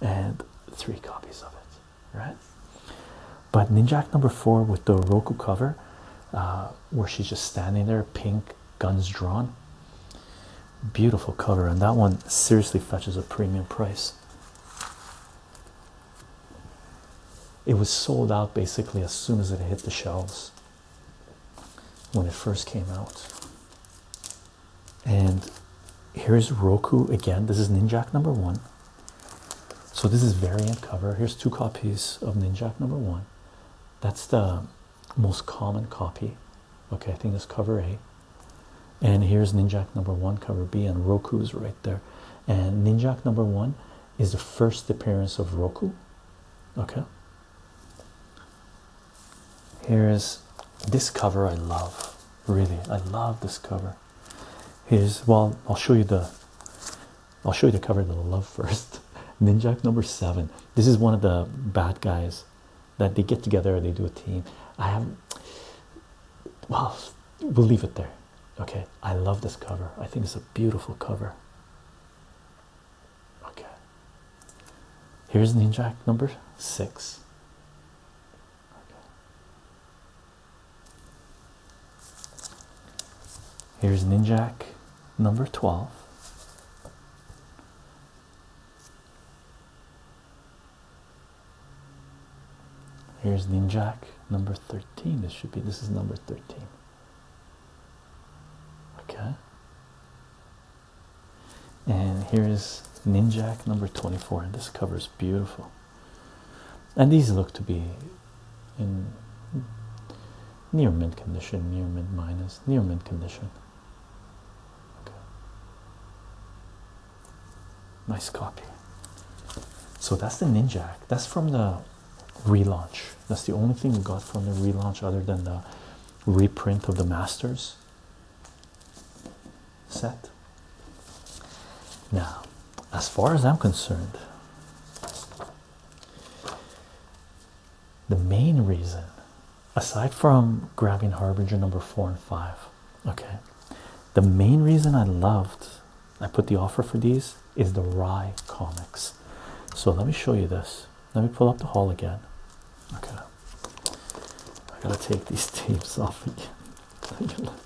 and three copies of it right but ninjak number four with the roku cover uh, where she's just standing there pink guns drawn beautiful cover and that one seriously fetches a premium price it was sold out basically as soon as it hit the shelves when it first came out. And here's Roku again. This is Ninjak number one. So this is variant cover. Here's two copies of Ninjak number one. That's the most common copy. Okay, I think that's cover A and here's ninjak number one cover b and roku's right there and ninjak number one is the first appearance of roku okay here's this cover i love really i love this cover here's well i'll show you the i'll show you the cover that i love first ninjak number seven this is one of the bad guys that they get together they do a team i have well we'll leave it there Okay, I love this cover. I think it's a beautiful cover. Okay. Here's Ninjak number six. Okay. Here's Ninjak number 12. Here's Ninjak number 13. This should be this is number 13. Okay. And here is Ninjak number 24. And this cover is beautiful. And these look to be in near mint condition, near mint minus, near mint condition. Okay. Nice copy. So that's the Ninjak. That's from the relaunch. That's the only thing we got from the relaunch other than the reprint of the Masters set. Now, as far as I'm concerned, the main reason, aside from grabbing Harbinger number four and five, okay, the main reason I loved I put the offer for these is the Rye comics. So let me show you this. Let me pull up the haul again. Okay. I gotta take these tapes off again.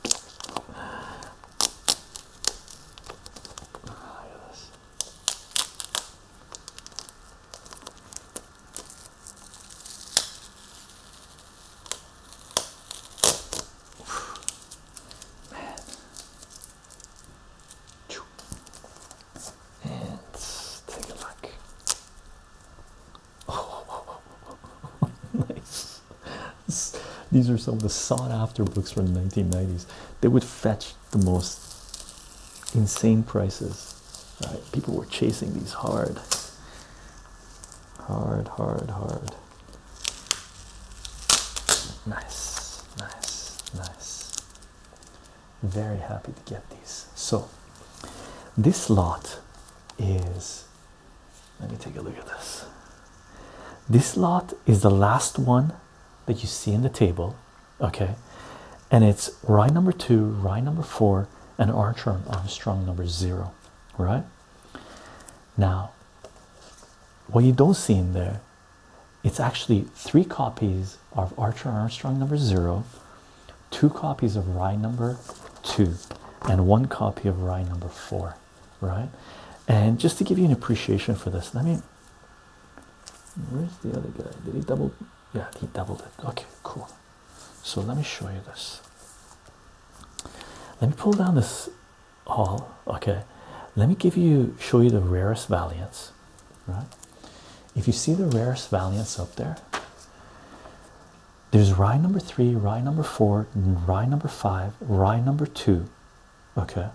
Man. And take a look. Oh, nice. These are some of the sought after books from the 1990s. They would fetch the most insane prices. People were chasing these hard. Hard, hard, hard. Nice, nice, nice. Very happy to get these. So, this lot is let me take a look at this. This lot is the last one that you see in the table, okay? And it's rye number two, rye number four, and Archer Armstrong number zero, right? Now, what you don't see in there, it's actually three copies of Archer Armstrong number zero, two copies of Rye number two, and one copy of Rye number four, right? And just to give you an appreciation for this, let me. Where's the other guy? Did he double? Yeah, he doubled it. Okay, cool. So let me show you this. Let me pull down this all okay let me give you show you the rarest valiants right if you see the rarest valiants up there there's rye number three rye number four rye number five rye number two okay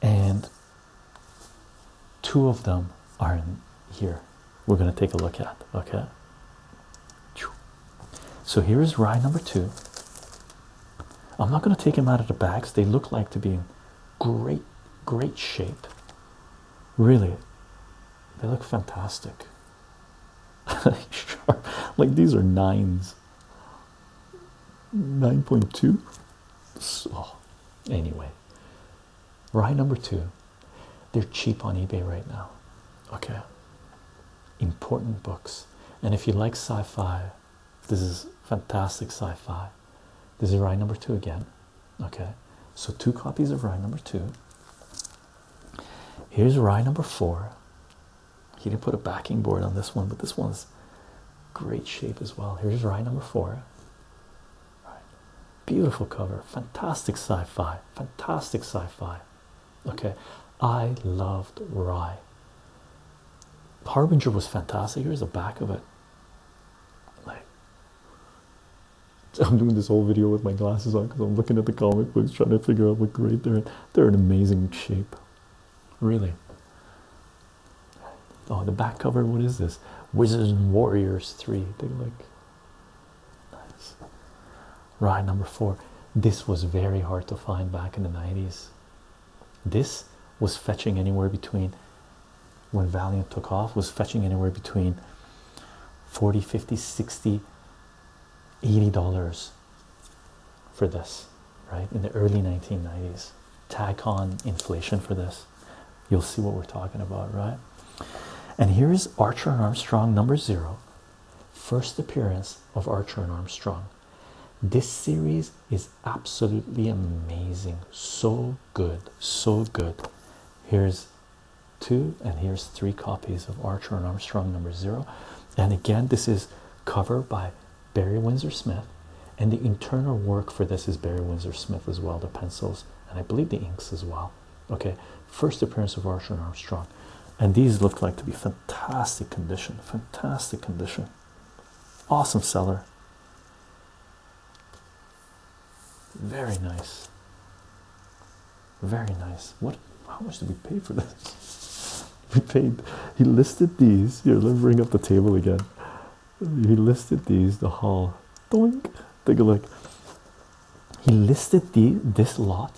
and two of them are in here we're going to take a look at okay so here is rye number two. I'm not going to take them out of the bags. They look like to be in great, great shape. Really, they look fantastic. Like these are nines. 9.2. So, anyway, rye number two. They're cheap on eBay right now. Okay important books. And if you like sci fi, this is fantastic sci fi. This is Rye number two again. Okay, so two copies of Rye number two. Here's Rye number four. He didn't put a backing board on this one, but this one's great shape as well. Here's Rye number four. Beautiful cover, fantastic sci fi, fantastic sci fi. Okay, I loved Rye. Harbinger was fantastic. Here's the back of it. Like, I'm doing this whole video with my glasses on because I'm looking at the comic books trying to figure out what grade they're in. They're in amazing shape, really. Oh, the back cover. What is this? Wizards and Warriors 3. They like. Nice right number four this was very hard to find back in the 90s this was fetching anywhere between when valiant took off was fetching anywhere between 40 50 60 80 dollars for this right in the early 1990s tag on inflation for this you'll see what we're talking about right and here's archer and armstrong number zero First appearance of Archer and Armstrong. This series is absolutely amazing. So good, so good. Here's two, and here's three copies of Archer and Armstrong number zero. And again, this is cover by Barry Windsor Smith, and the internal work for this is Barry Windsor Smith as well, the pencils, and I believe the inks as well. Okay, first appearance of Archer and Armstrong and these look like to be fantastic condition fantastic condition awesome seller very nice very nice what how much did we pay for this we paid he listed these here let me bring up the table again he listed these the haul Doink. take a look he listed the this lot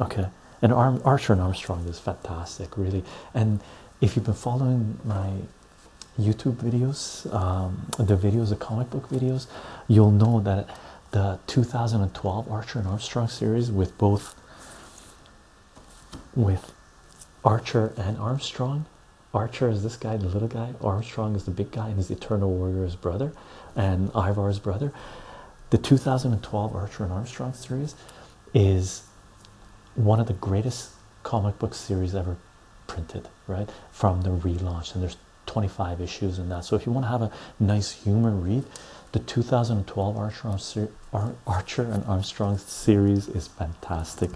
okay and archer and armstrong is fantastic really and if you've been following my youtube videos um, the videos the comic book videos you'll know that the 2012 archer and armstrong series with both with archer and armstrong archer is this guy the little guy armstrong is the big guy and his Eternal Warrior is brother and ivar's brother the 2012 Archer and Armstrong series is one of the greatest comic book series ever printed, right? From the relaunch, and there's 25 issues in that. So if you want to have a nice humor read, the 2012 Archer, Archer and Armstrong series is fantastic,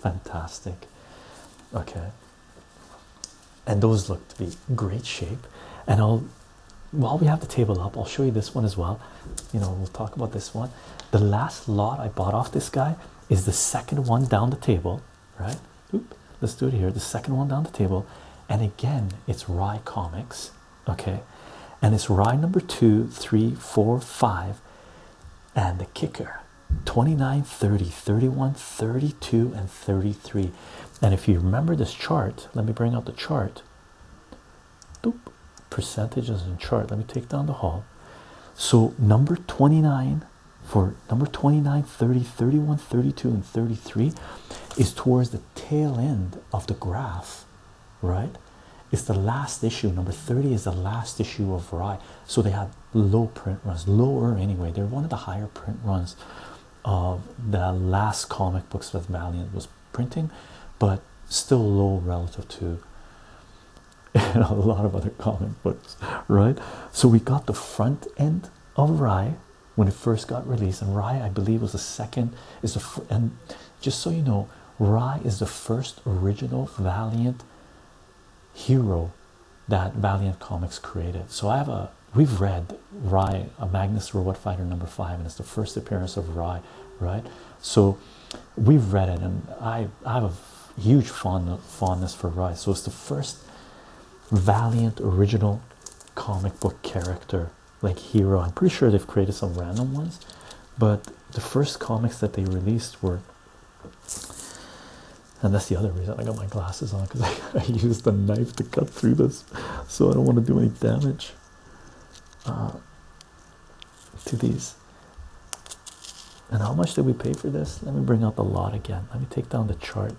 fantastic. Okay, and those look to be great shape, and I'll while we have the table up, I'll show you this one as well. You know, we'll talk about this one. The last lot I bought off this guy is the second one down the table, right? let's do it here. The second one down the table, and again, it's Rye Comics, okay? And it's Rye number two, three, four, five, and the kicker 29, 30, 31, 32, and 33. And if you remember this chart, let me bring out the chart percentages in chart. Let me take down the hall. So number 29 for number 29, 30, 31, 32, and 33 is towards the tail end of the graph, right? It's the last issue. Number 30 is the last issue of Rye. So they had low print runs, lower anyway. They're one of the higher print runs of the last comic books with Valiant was printing but still low relative to a lot of other comic books right so we got the front end of rye when it first got released and rye i believe was the second is the and just so you know rye is the first original valiant hero that valiant comics created so i have a we've read rye a magnus robot fighter number five and it's the first appearance of rye right? So we've read it, and I, have a huge fondness for Rice. So it's the first valiant original comic book character, like hero. I'm pretty sure they've created some random ones, but the first comics that they released were. And that's the other reason I got my glasses on because I, I used the knife to cut through this, so I don't want to do any damage. Uh, to these. And how much did we pay for this? Let me bring up the lot again. Let me take down the chart.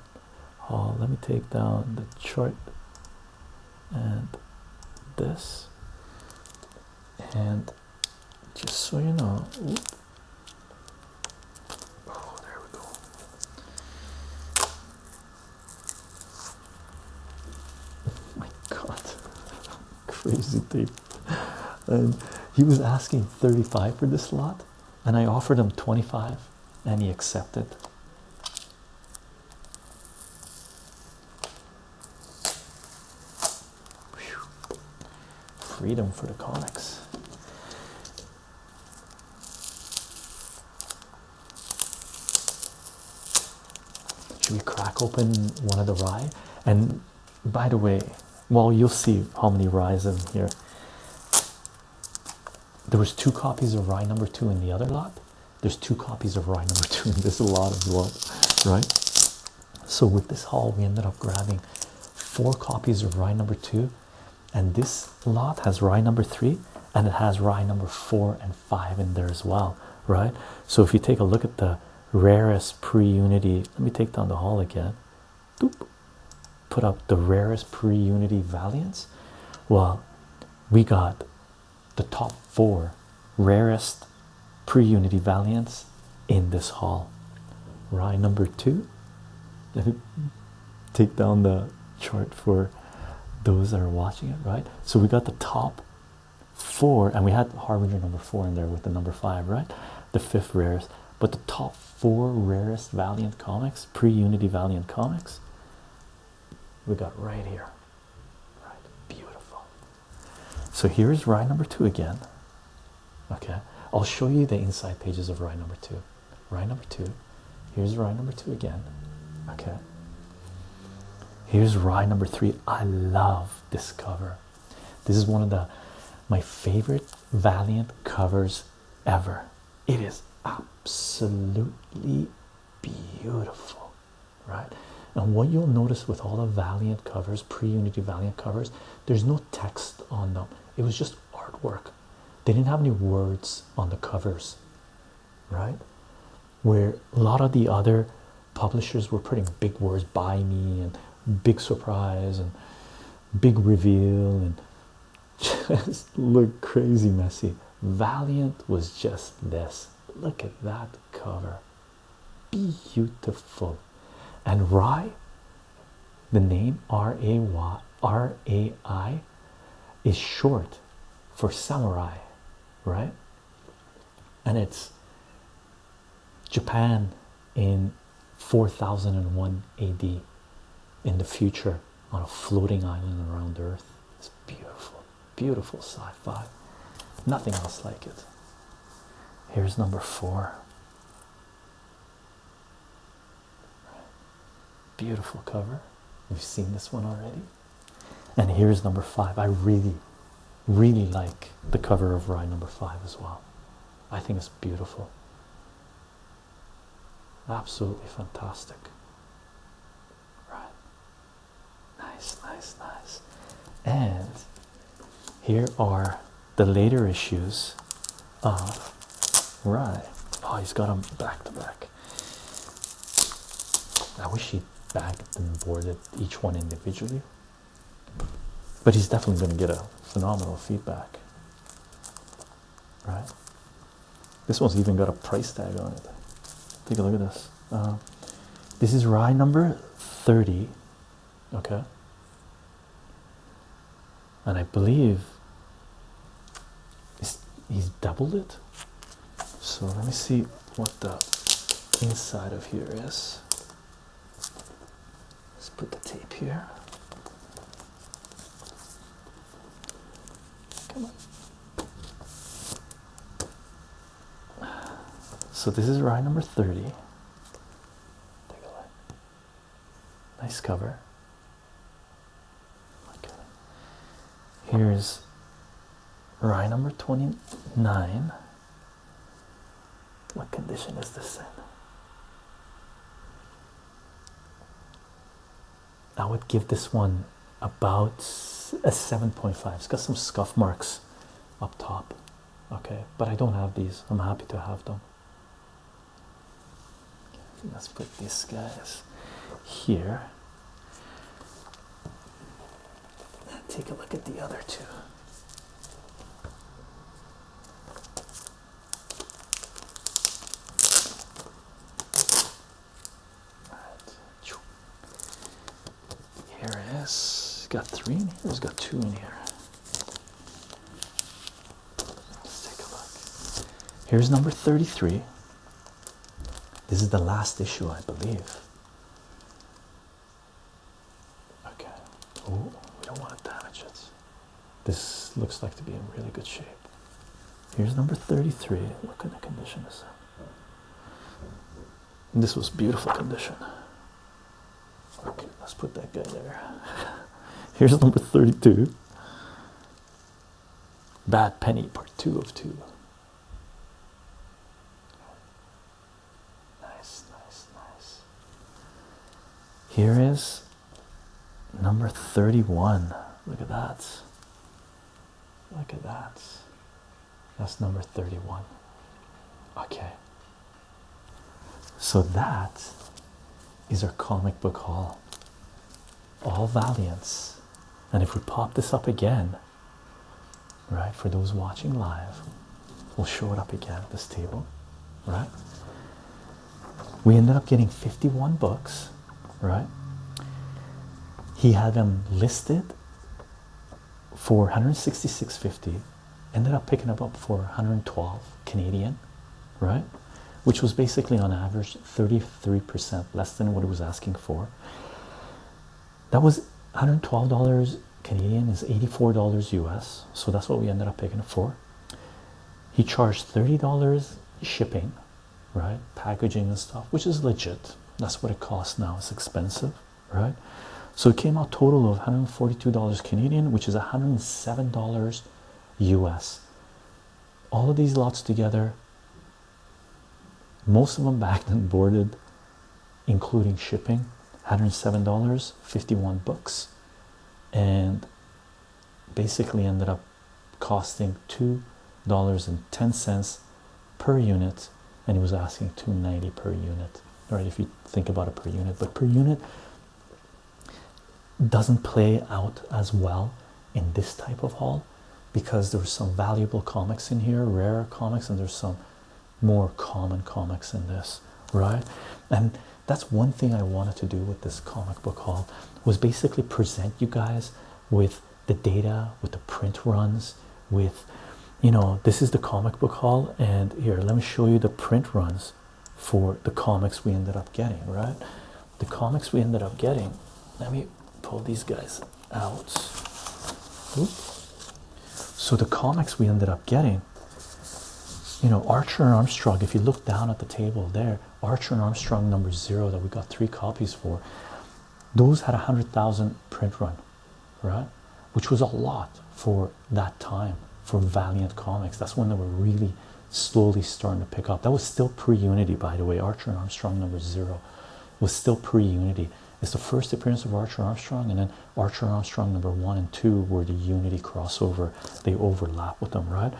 let me take down the chart and this. And just so you know, oh, there we go. My God, crazy tape. And he was asking 35 for this lot, and I offered him 25, and he accepted. Freedom for the comics. Should we crack open one of the rye? And by the way, well, you'll see how many ryes in here. There was two copies of rye number two in the other lot. There's two copies of rye number two in this lot as well, right? So with this haul, we ended up grabbing four copies of rye number two, and this lot has rye number three, and it has rye number four and five in there as well, right? So if you take a look at the rarest pre-unity, let me take down the hall again. Doop. Put up the rarest pre-unity valiance. Well, we got the top four rarest pre-unity valiance in this hall. Rye number two. Let me take down the chart for those that are watching it, right? So we got the top four, and we had Harbinger number four in there with the number five, right? The fifth rarest, but the top four rarest Valiant comics, pre Unity Valiant comics, we got right here. Right, beautiful. So here's ride number two again. Okay, I'll show you the inside pages of ride number two. Ride number two, here's ride number two again. Okay, Here's rye number three. I love this cover. This is one of the my favorite Valiant covers ever. It is absolutely beautiful, right? And what you'll notice with all the Valiant covers, pre-Unity Valiant covers, there's no text on them. It was just artwork. They didn't have any words on the covers, right? where a lot of the other publishers were putting big words by me and big surprise and big reveal and just look crazy messy. Valiant was just this. Look at that cover. Beautiful. And Rai, the name R A Y R A I is short for samurai, right? and it's Japan in 4001 AD in the future on a floating island around Earth. It's beautiful, beautiful sci fi. Nothing else like it. Here's number four. Beautiful cover. We've seen this one already. And here's number five. I really, really like the cover of Rye number five as well. I think it's beautiful. Absolutely fantastic. Right. Nice, nice, nice. And here are the later issues of Rye. Oh, he's got them back to back. I wish he backed and boarded each one individually, but he's definitely going to get a phenomenal feedback, right? This one's even got a price tag on it. Take a look at this. Uh, this is rye number 30, okay? And I believe he's doubled it. So let me see what the inside of here is. Let's put the tape here. Come on. So this is rye number 30. Nice cover. Here's Right, number 29. What condition is this in? I would give this one about a 7.5. It's got some scuff marks up top. Okay, but I don't have these. I'm happy to have them. Let's put these guys here. Take a look at the other two. Right. Here it is. Got three in here. got two in here. Let's take a look. Here's number 33. This is the last issue, I believe. Okay. Oh, we don't want to damage it. This looks like to be in really good shape. Here's number 33. What kind of condition is that? This was beautiful condition. Okay, let's put that guy there. Here's number 32. Bad Penny, part two of two. Nice, nice, nice. Here is number 31. Look at that. Look at that. That's number 31. Okay. So that is our comic book haul. All Valiants. And if we pop this up again, right? For those watching live, we'll show it up again at this table, right? We ended up getting 51 books, right? He had them listed for 166.50, ended up picking them up for 112 Canadian, right? Which was basically on average 33% less than what he was asking for that was $112 Canadian is $84 US so that's what we ended up paying for he charged $30 shipping right packaging and stuff which is legit that's what it costs now it's expensive right so it came out total of $142 Canadian which is $107 US all of these lots together most of them backed and boarded including shipping, $107, 51 bucks, and basically ended up costing $2.10 per unit. And he was asking 290 per unit, right? If you think about it per unit, but per unit doesn't play out as well in this type of haul because there's some valuable comics in here, rare comics, and there's some more common comics in this, right? And that's one thing I wanted to do with this comic book haul was basically present you guys with the data, with the print runs, with you know, this is the comic book haul, and here let me show you the print runs for the comics we ended up getting, right? The comics we ended up getting. Let me pull these guys out. Oop. So the comics we ended up getting, you know, Archer and Armstrong. If you look down at the table there, Archer and Armstrong number zero that we got three copies for, those had a hundred thousand print run, right? Which was a lot for that time for Valiant Comics. That's when they were really slowly starting to pick up. That was still pre-Unity, by the way. Archer and Armstrong number zero was still pre-Unity. It's the first appearance of Archer Armstrong, and then Archer Armstrong number one and two were the Unity crossover, they overlap with them, right?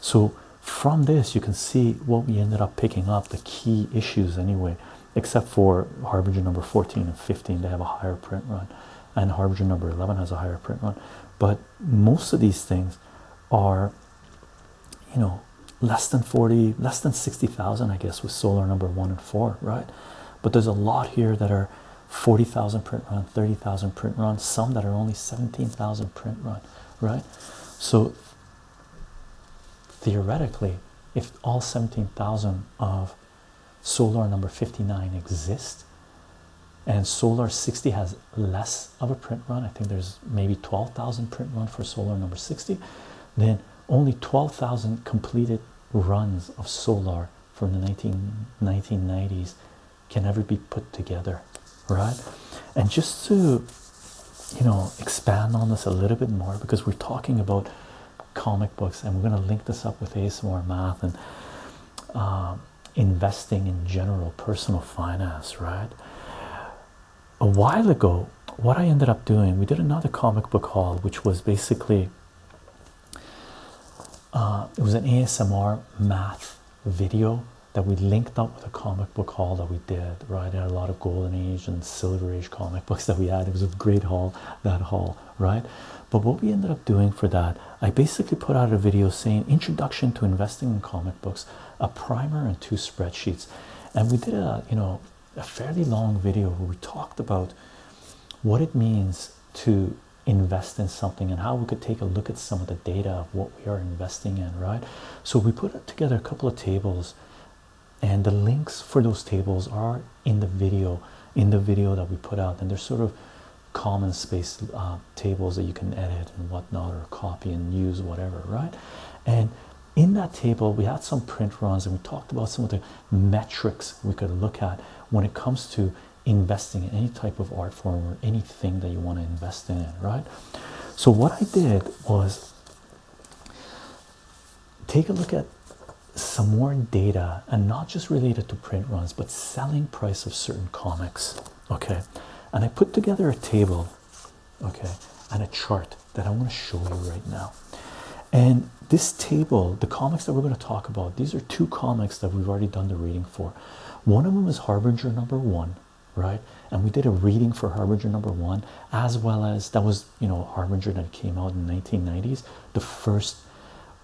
So, from this, you can see what we ended up picking up the key issues anyway, except for Harbinger number 14 and 15, they have a higher print run, and Harbinger number 11 has a higher print run. But most of these things are, you know, less than 40, less than 60,000, I guess, with solar number one and four, right? but there's a lot here that are 40,000 print run, 30,000 print run, some that are only 17,000 print run, right? So theoretically, if all 17,000 of solar number 59 exist and solar 60 has less of a print run, I think there's maybe 12,000 print run for solar number 60, then only 12,000 completed runs of solar from the 19, 1990s can ever be put together right and just to you know expand on this a little bit more because we're talking about comic books and we're going to link this up with asmr math and um, investing in general personal finance right a while ago what i ended up doing we did another comic book haul which was basically uh, it was an ASMR math video that we linked up with a comic book haul that we did, right? had a lot of golden age and silver age comic books that we had. It was a great haul, that haul, right? But what we ended up doing for that, I basically put out a video saying introduction to investing in comic books, a primer and two spreadsheets. And we did a, you know, a fairly long video where we talked about what it means to invest in something and how we could take a look at some of the data of what we are investing in, right? So we put together a couple of tables and the links for those tables are in the video in the video that we put out and they're sort of common space uh, tables that you can edit and whatnot or copy and use whatever right and in that table we had some print runs and we talked about some of the metrics we could look at when it comes to investing in any type of art form or anything that you want to invest in, right? So, what I did was take a look at some more data and not just related to print runs but selling price of certain comics, okay? And I put together a table, okay, and a chart that I want to show you right now. And this table, the comics that we're going to talk about, these are two comics that we've already done the reading for. One of them is Harbinger number one, right? And we did a reading for Harbinger number one, as well as that was, you know, Harbinger that came out in the 1990s, the first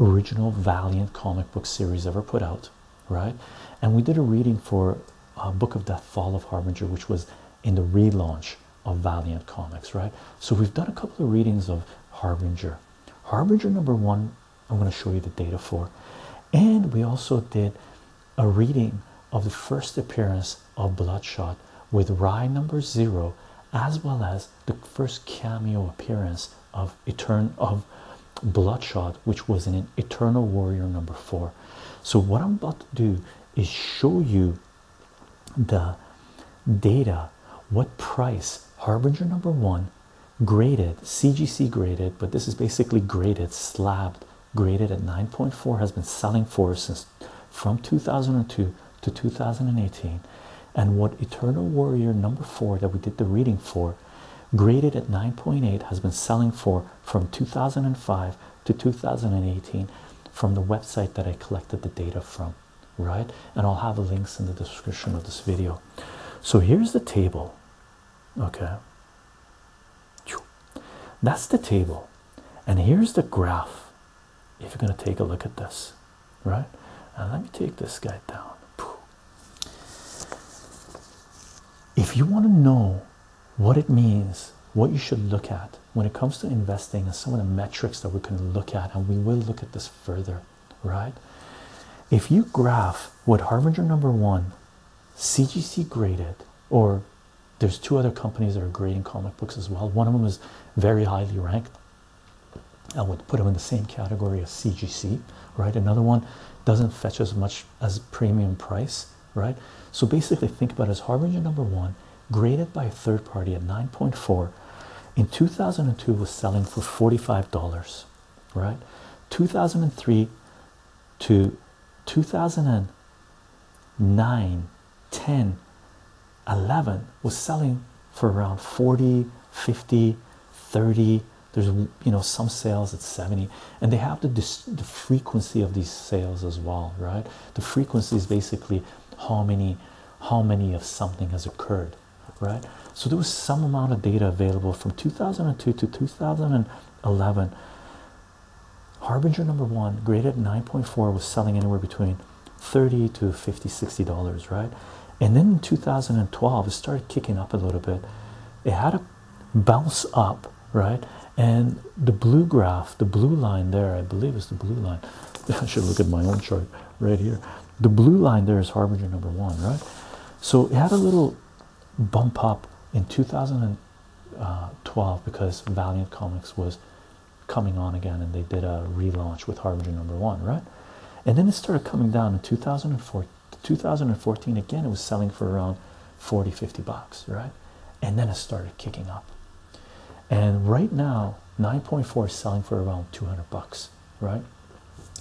original Valiant comic book series ever put out, right? And we did a reading for uh, Book of the Fall of Harbinger, which was in the relaunch on Valiant Comics, right? So we've done a couple of readings of Harbinger. Harbinger number one, I'm going to show you the data for. And we also did a reading of the first appearance of Bloodshot with Rye number zero, as well as the first cameo appearance of Eternal of Bloodshot, which was in Eternal Warrior number four. So what I'm about to do is show you the data what price harbinger number one graded cgc graded but this is basically graded slabbed graded at 9.4 has been selling for since from 2002 to 2018 and what eternal warrior number four that we did the reading for graded at 9.8 has been selling for from 2005 to 2018 from the website that i collected the data from right? And I'll have the links in the description of this video. So here's the table, okay? That's the table, and here's the graph. If you're going to take a look at this, right? let me take this guy down. If you want to know what it means, what you should look at when it comes to investing, and some of the metrics that we're going to look at, and we will look at this further, right? If you graph what Harbinger number one, CGC graded, or there's two other companies that are grading comic books as well. One of them is very highly ranked. I would put them in the same category as CGC, right? Another one doesn't fetch as much as premium price, right? So basically, think about it as Harbinger number one graded by a third party at 9.4 in 2002 was selling for $45 right 2003 to 2009 10 11 was selling for around 40 50 30 there's you know some sales at 70 and they have the, the frequency of these sales as well right the frequency is basically how many how many of something has occurred, right? So there was some amount of data available from 2002 to 2011. Harbinger number one, graded 9.4, was selling anywhere between 30 to 50, 60 dollars, right? And then in 2012, it started kicking up a little bit. It had a bounce up, right? And the blue graph, the blue line there, I believe is the blue line. I should look at my own chart right here the blue line there is harbinger number one right so it had a little bump up in 2012 because valiant comics was coming on again and they did a relaunch with harbinger number one right and then it started coming down in 2004 2014 again it was selling for around 40 50 bucks right and then it started kicking up and right now 9.4 is selling for around 200 bucks right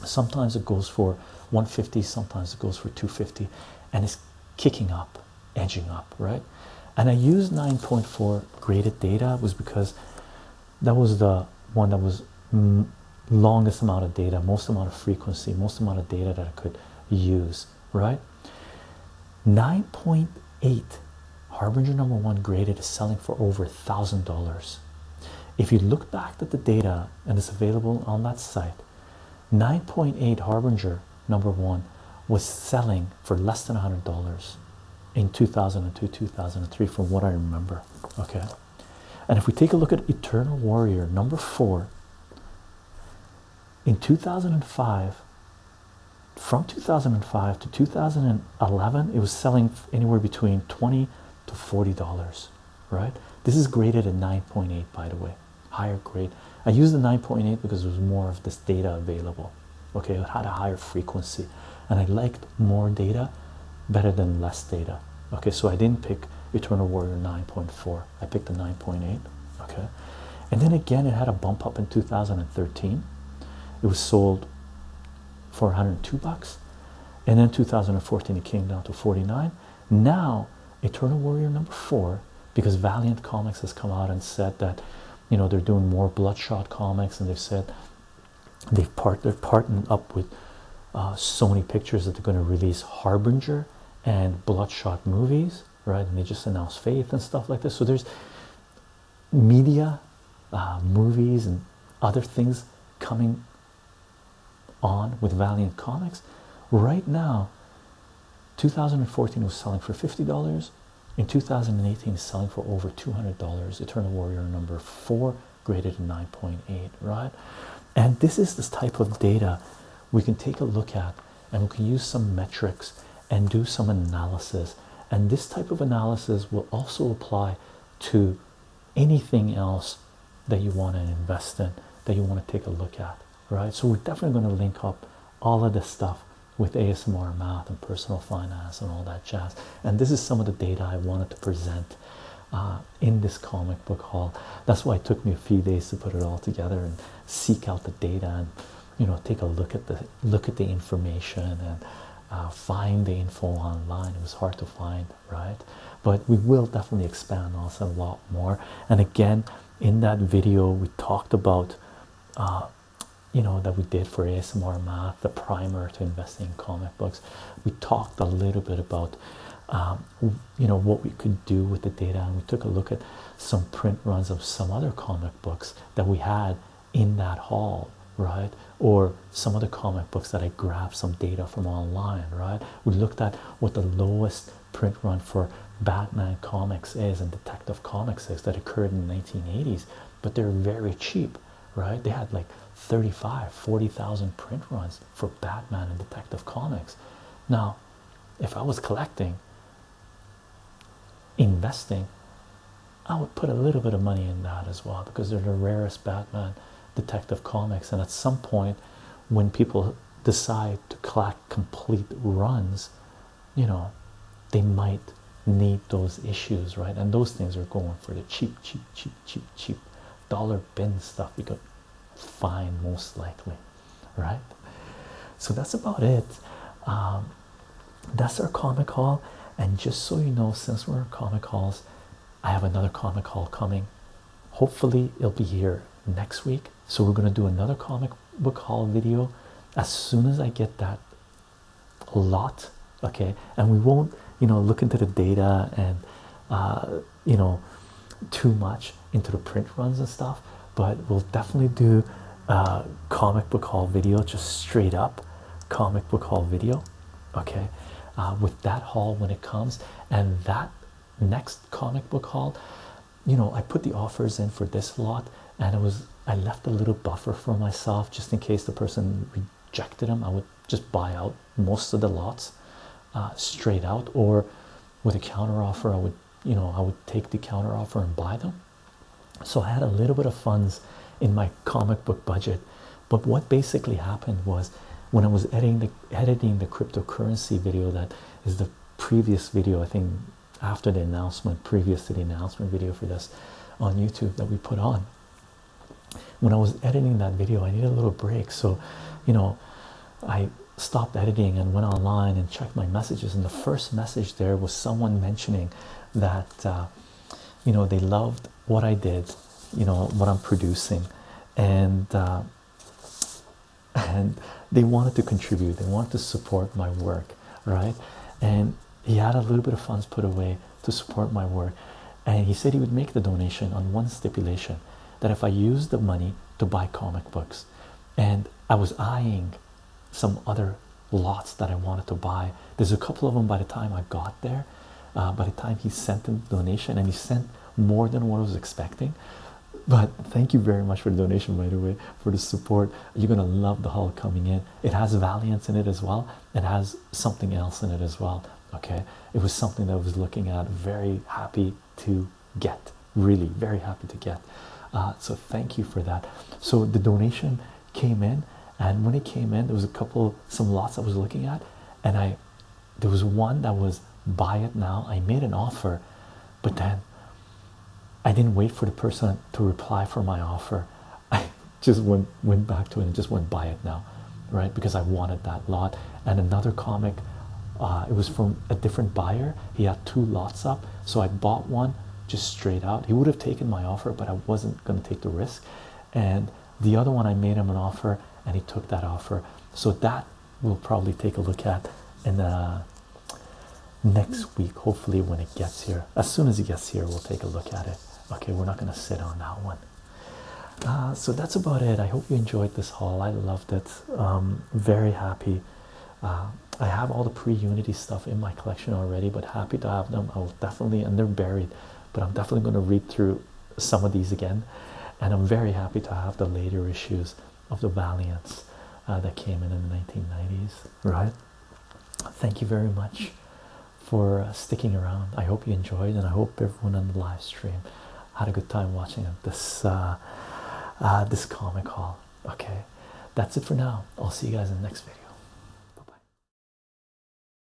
sometimes it goes for 150 sometimes it goes for 250 and it's kicking up edging up right and i used 9.4 graded data was because that was the one that was longest amount of data most amount of frequency most amount of data that i could use right 9.8 Harbinger number one graded is selling for over a thousand dollars. If you look back at the data and it's available on that site, 9.8 Harbinger number one was selling for less than a hundred dollars in 2002 2003, from what I remember. Okay, and if we take a look at Eternal Warrior number four in 2005, from 2005 to 2000. Eleven. it was selling anywhere between 20 to 40 dollars right this is graded at 9.8 by the way higher grade i used the 9.8 because there was more of this data available okay it had a higher frequency and i liked more data better than less data okay so i didn't pick eternal warrior 9.4 i picked the 9.8 okay and then again it had a bump up in 2013 it was sold for 102 bucks and then 2014 it came down to 49 now eternal warrior number four because valiant comics has come out and said that you know they're doing more bloodshot comics and they've said they've part they're partnered up with uh, so many pictures that they're going to release harbinger and bloodshot movies right and they just announced faith and stuff like this so there's media, uh, movies, and other things coming on with Valiant Comics. Right now, 2014 was selling for $50. In 2018, it's selling for over $200. Eternal Warrior number four, graded 9.8, right? And this is this type of data we can take a look at and we can use some metrics and do some analysis. And this type of analysis will also apply to anything else that you want to invest in that you want to take a look at right so we're definitely going to link up all of this stuff with asmr math and personal finance and all that jazz and this is some of the data i wanted to present uh, in this comic book haul that's why it took me a few days to put it all together and seek out the data and you know take a look at the look at the information and uh, find the info online. It was hard to find, right? But we will definitely expand also a lot more. And again, in that video, we talked about, uh, you know, that we did for ASMR math, the primer to investing in comic books. We talked a little bit about, um, you know, what we could do with the data, and we took a look at some print runs of some other comic books that we had in that hall, right? Or some of the comic books that I grabbed some data from online, right? We looked at what the lowest print run for Batman comics is and Detective Comics is that occurred in the 1980s, but they're very cheap, right? They had like 35, 40,000 print runs for Batman and Detective Comics. Now, if I was collecting, investing, I would put a little bit of money in that as well because they're the rarest Batman detective comics. And at some point, when people decide to collect complete runs, you know, they might need those issues, right? And those things are going for the cheap, cheap, cheap, cheap, cheap dollar bin stuff you could find most likely, right? So that's about it. Um, that's our comic haul. And just so you know, since we're comic hauls, I have another comic haul coming. Hopefully, it'll be here next week. So, we're going to do another comic book haul video as soon as I get that lot. Okay, and we won't, you know, look into the data and uh, you know, too much into the print runs and stuff, but we'll definitely do a uh, comic book haul video, just straight up comic book haul video okay uh, with that haul when it comes and that next comic book haul you know i put the offers in for this lot and it was i left a little buffer for myself just in case the person rejected them i would just buy out most of the lots uh, straight out or with a counter offer i would you know i would take the counter offer and buy them so i had a little bit of funds in my comic book budget but what basically happened was when I was editing the cryptocurrency video that is the previous video I think after the announcement previous to the announcement video for this on YouTube that we put on when I was editing that video I needed a little break so you know I stopped editing and went online and checked my messages and the first message there was someone mentioning that uh, you know they loved what I did, you know what I'm producing, and uh, and they wanted to contribute. They wanted to support my work, right? And he had a little bit of funds put away to support my work, and he said he would make the donation on one stipulation that if I used the money to buy comic books, and I was eyeing some other lots that I wanted to buy. There's a couple of them by the time I got there uh, by the time he sent the donation, and he sent more than what I was expecting. But thank you very much for the donation, by the way, for the support. You're gonna love the haul coming in. It has Valiance in it as well. It has something else in it as well. Okay, it was something that I was looking at. Very happy to get. Really, very happy to get. Uh, so thank you for that. So the donation came in, and when it came in, there was a couple, some lots I was looking at, and I there was one that was buy it now. I made an offer, but then I didn't wait for the person to reply for my offer. I just went went back to it and just went buy it now, right? Because I wanted that lot. And another comic, uh, it was from a different buyer. He had two lots up, so I bought one just straight out. He would have taken my offer, but I wasn't going to take the risk, and the other one I made him an offer and he took that offer so that we'll probably take a look at in uh, next week hopefully when it gets here as soon as it gets here we'll take a look at it okay we're not going to sit on that one uh, so that's about it I hope you enjoyed this haul I loved it um, very happy uh, I have all the pre-unity stuff in my collection already but happy to have them I will definitely and they're buried but I'm definitely going to read through some of these again, and I'm very happy to have the later issues of the Valiants uh, that came in in the 1990s. Right? Thank you very much for uh, sticking around. I hope you enjoyed, and I hope everyone on the live stream had a good time watching this uh, this comic haul. Okay, that's it for now. I'll see you guys in the next video. Bye bye.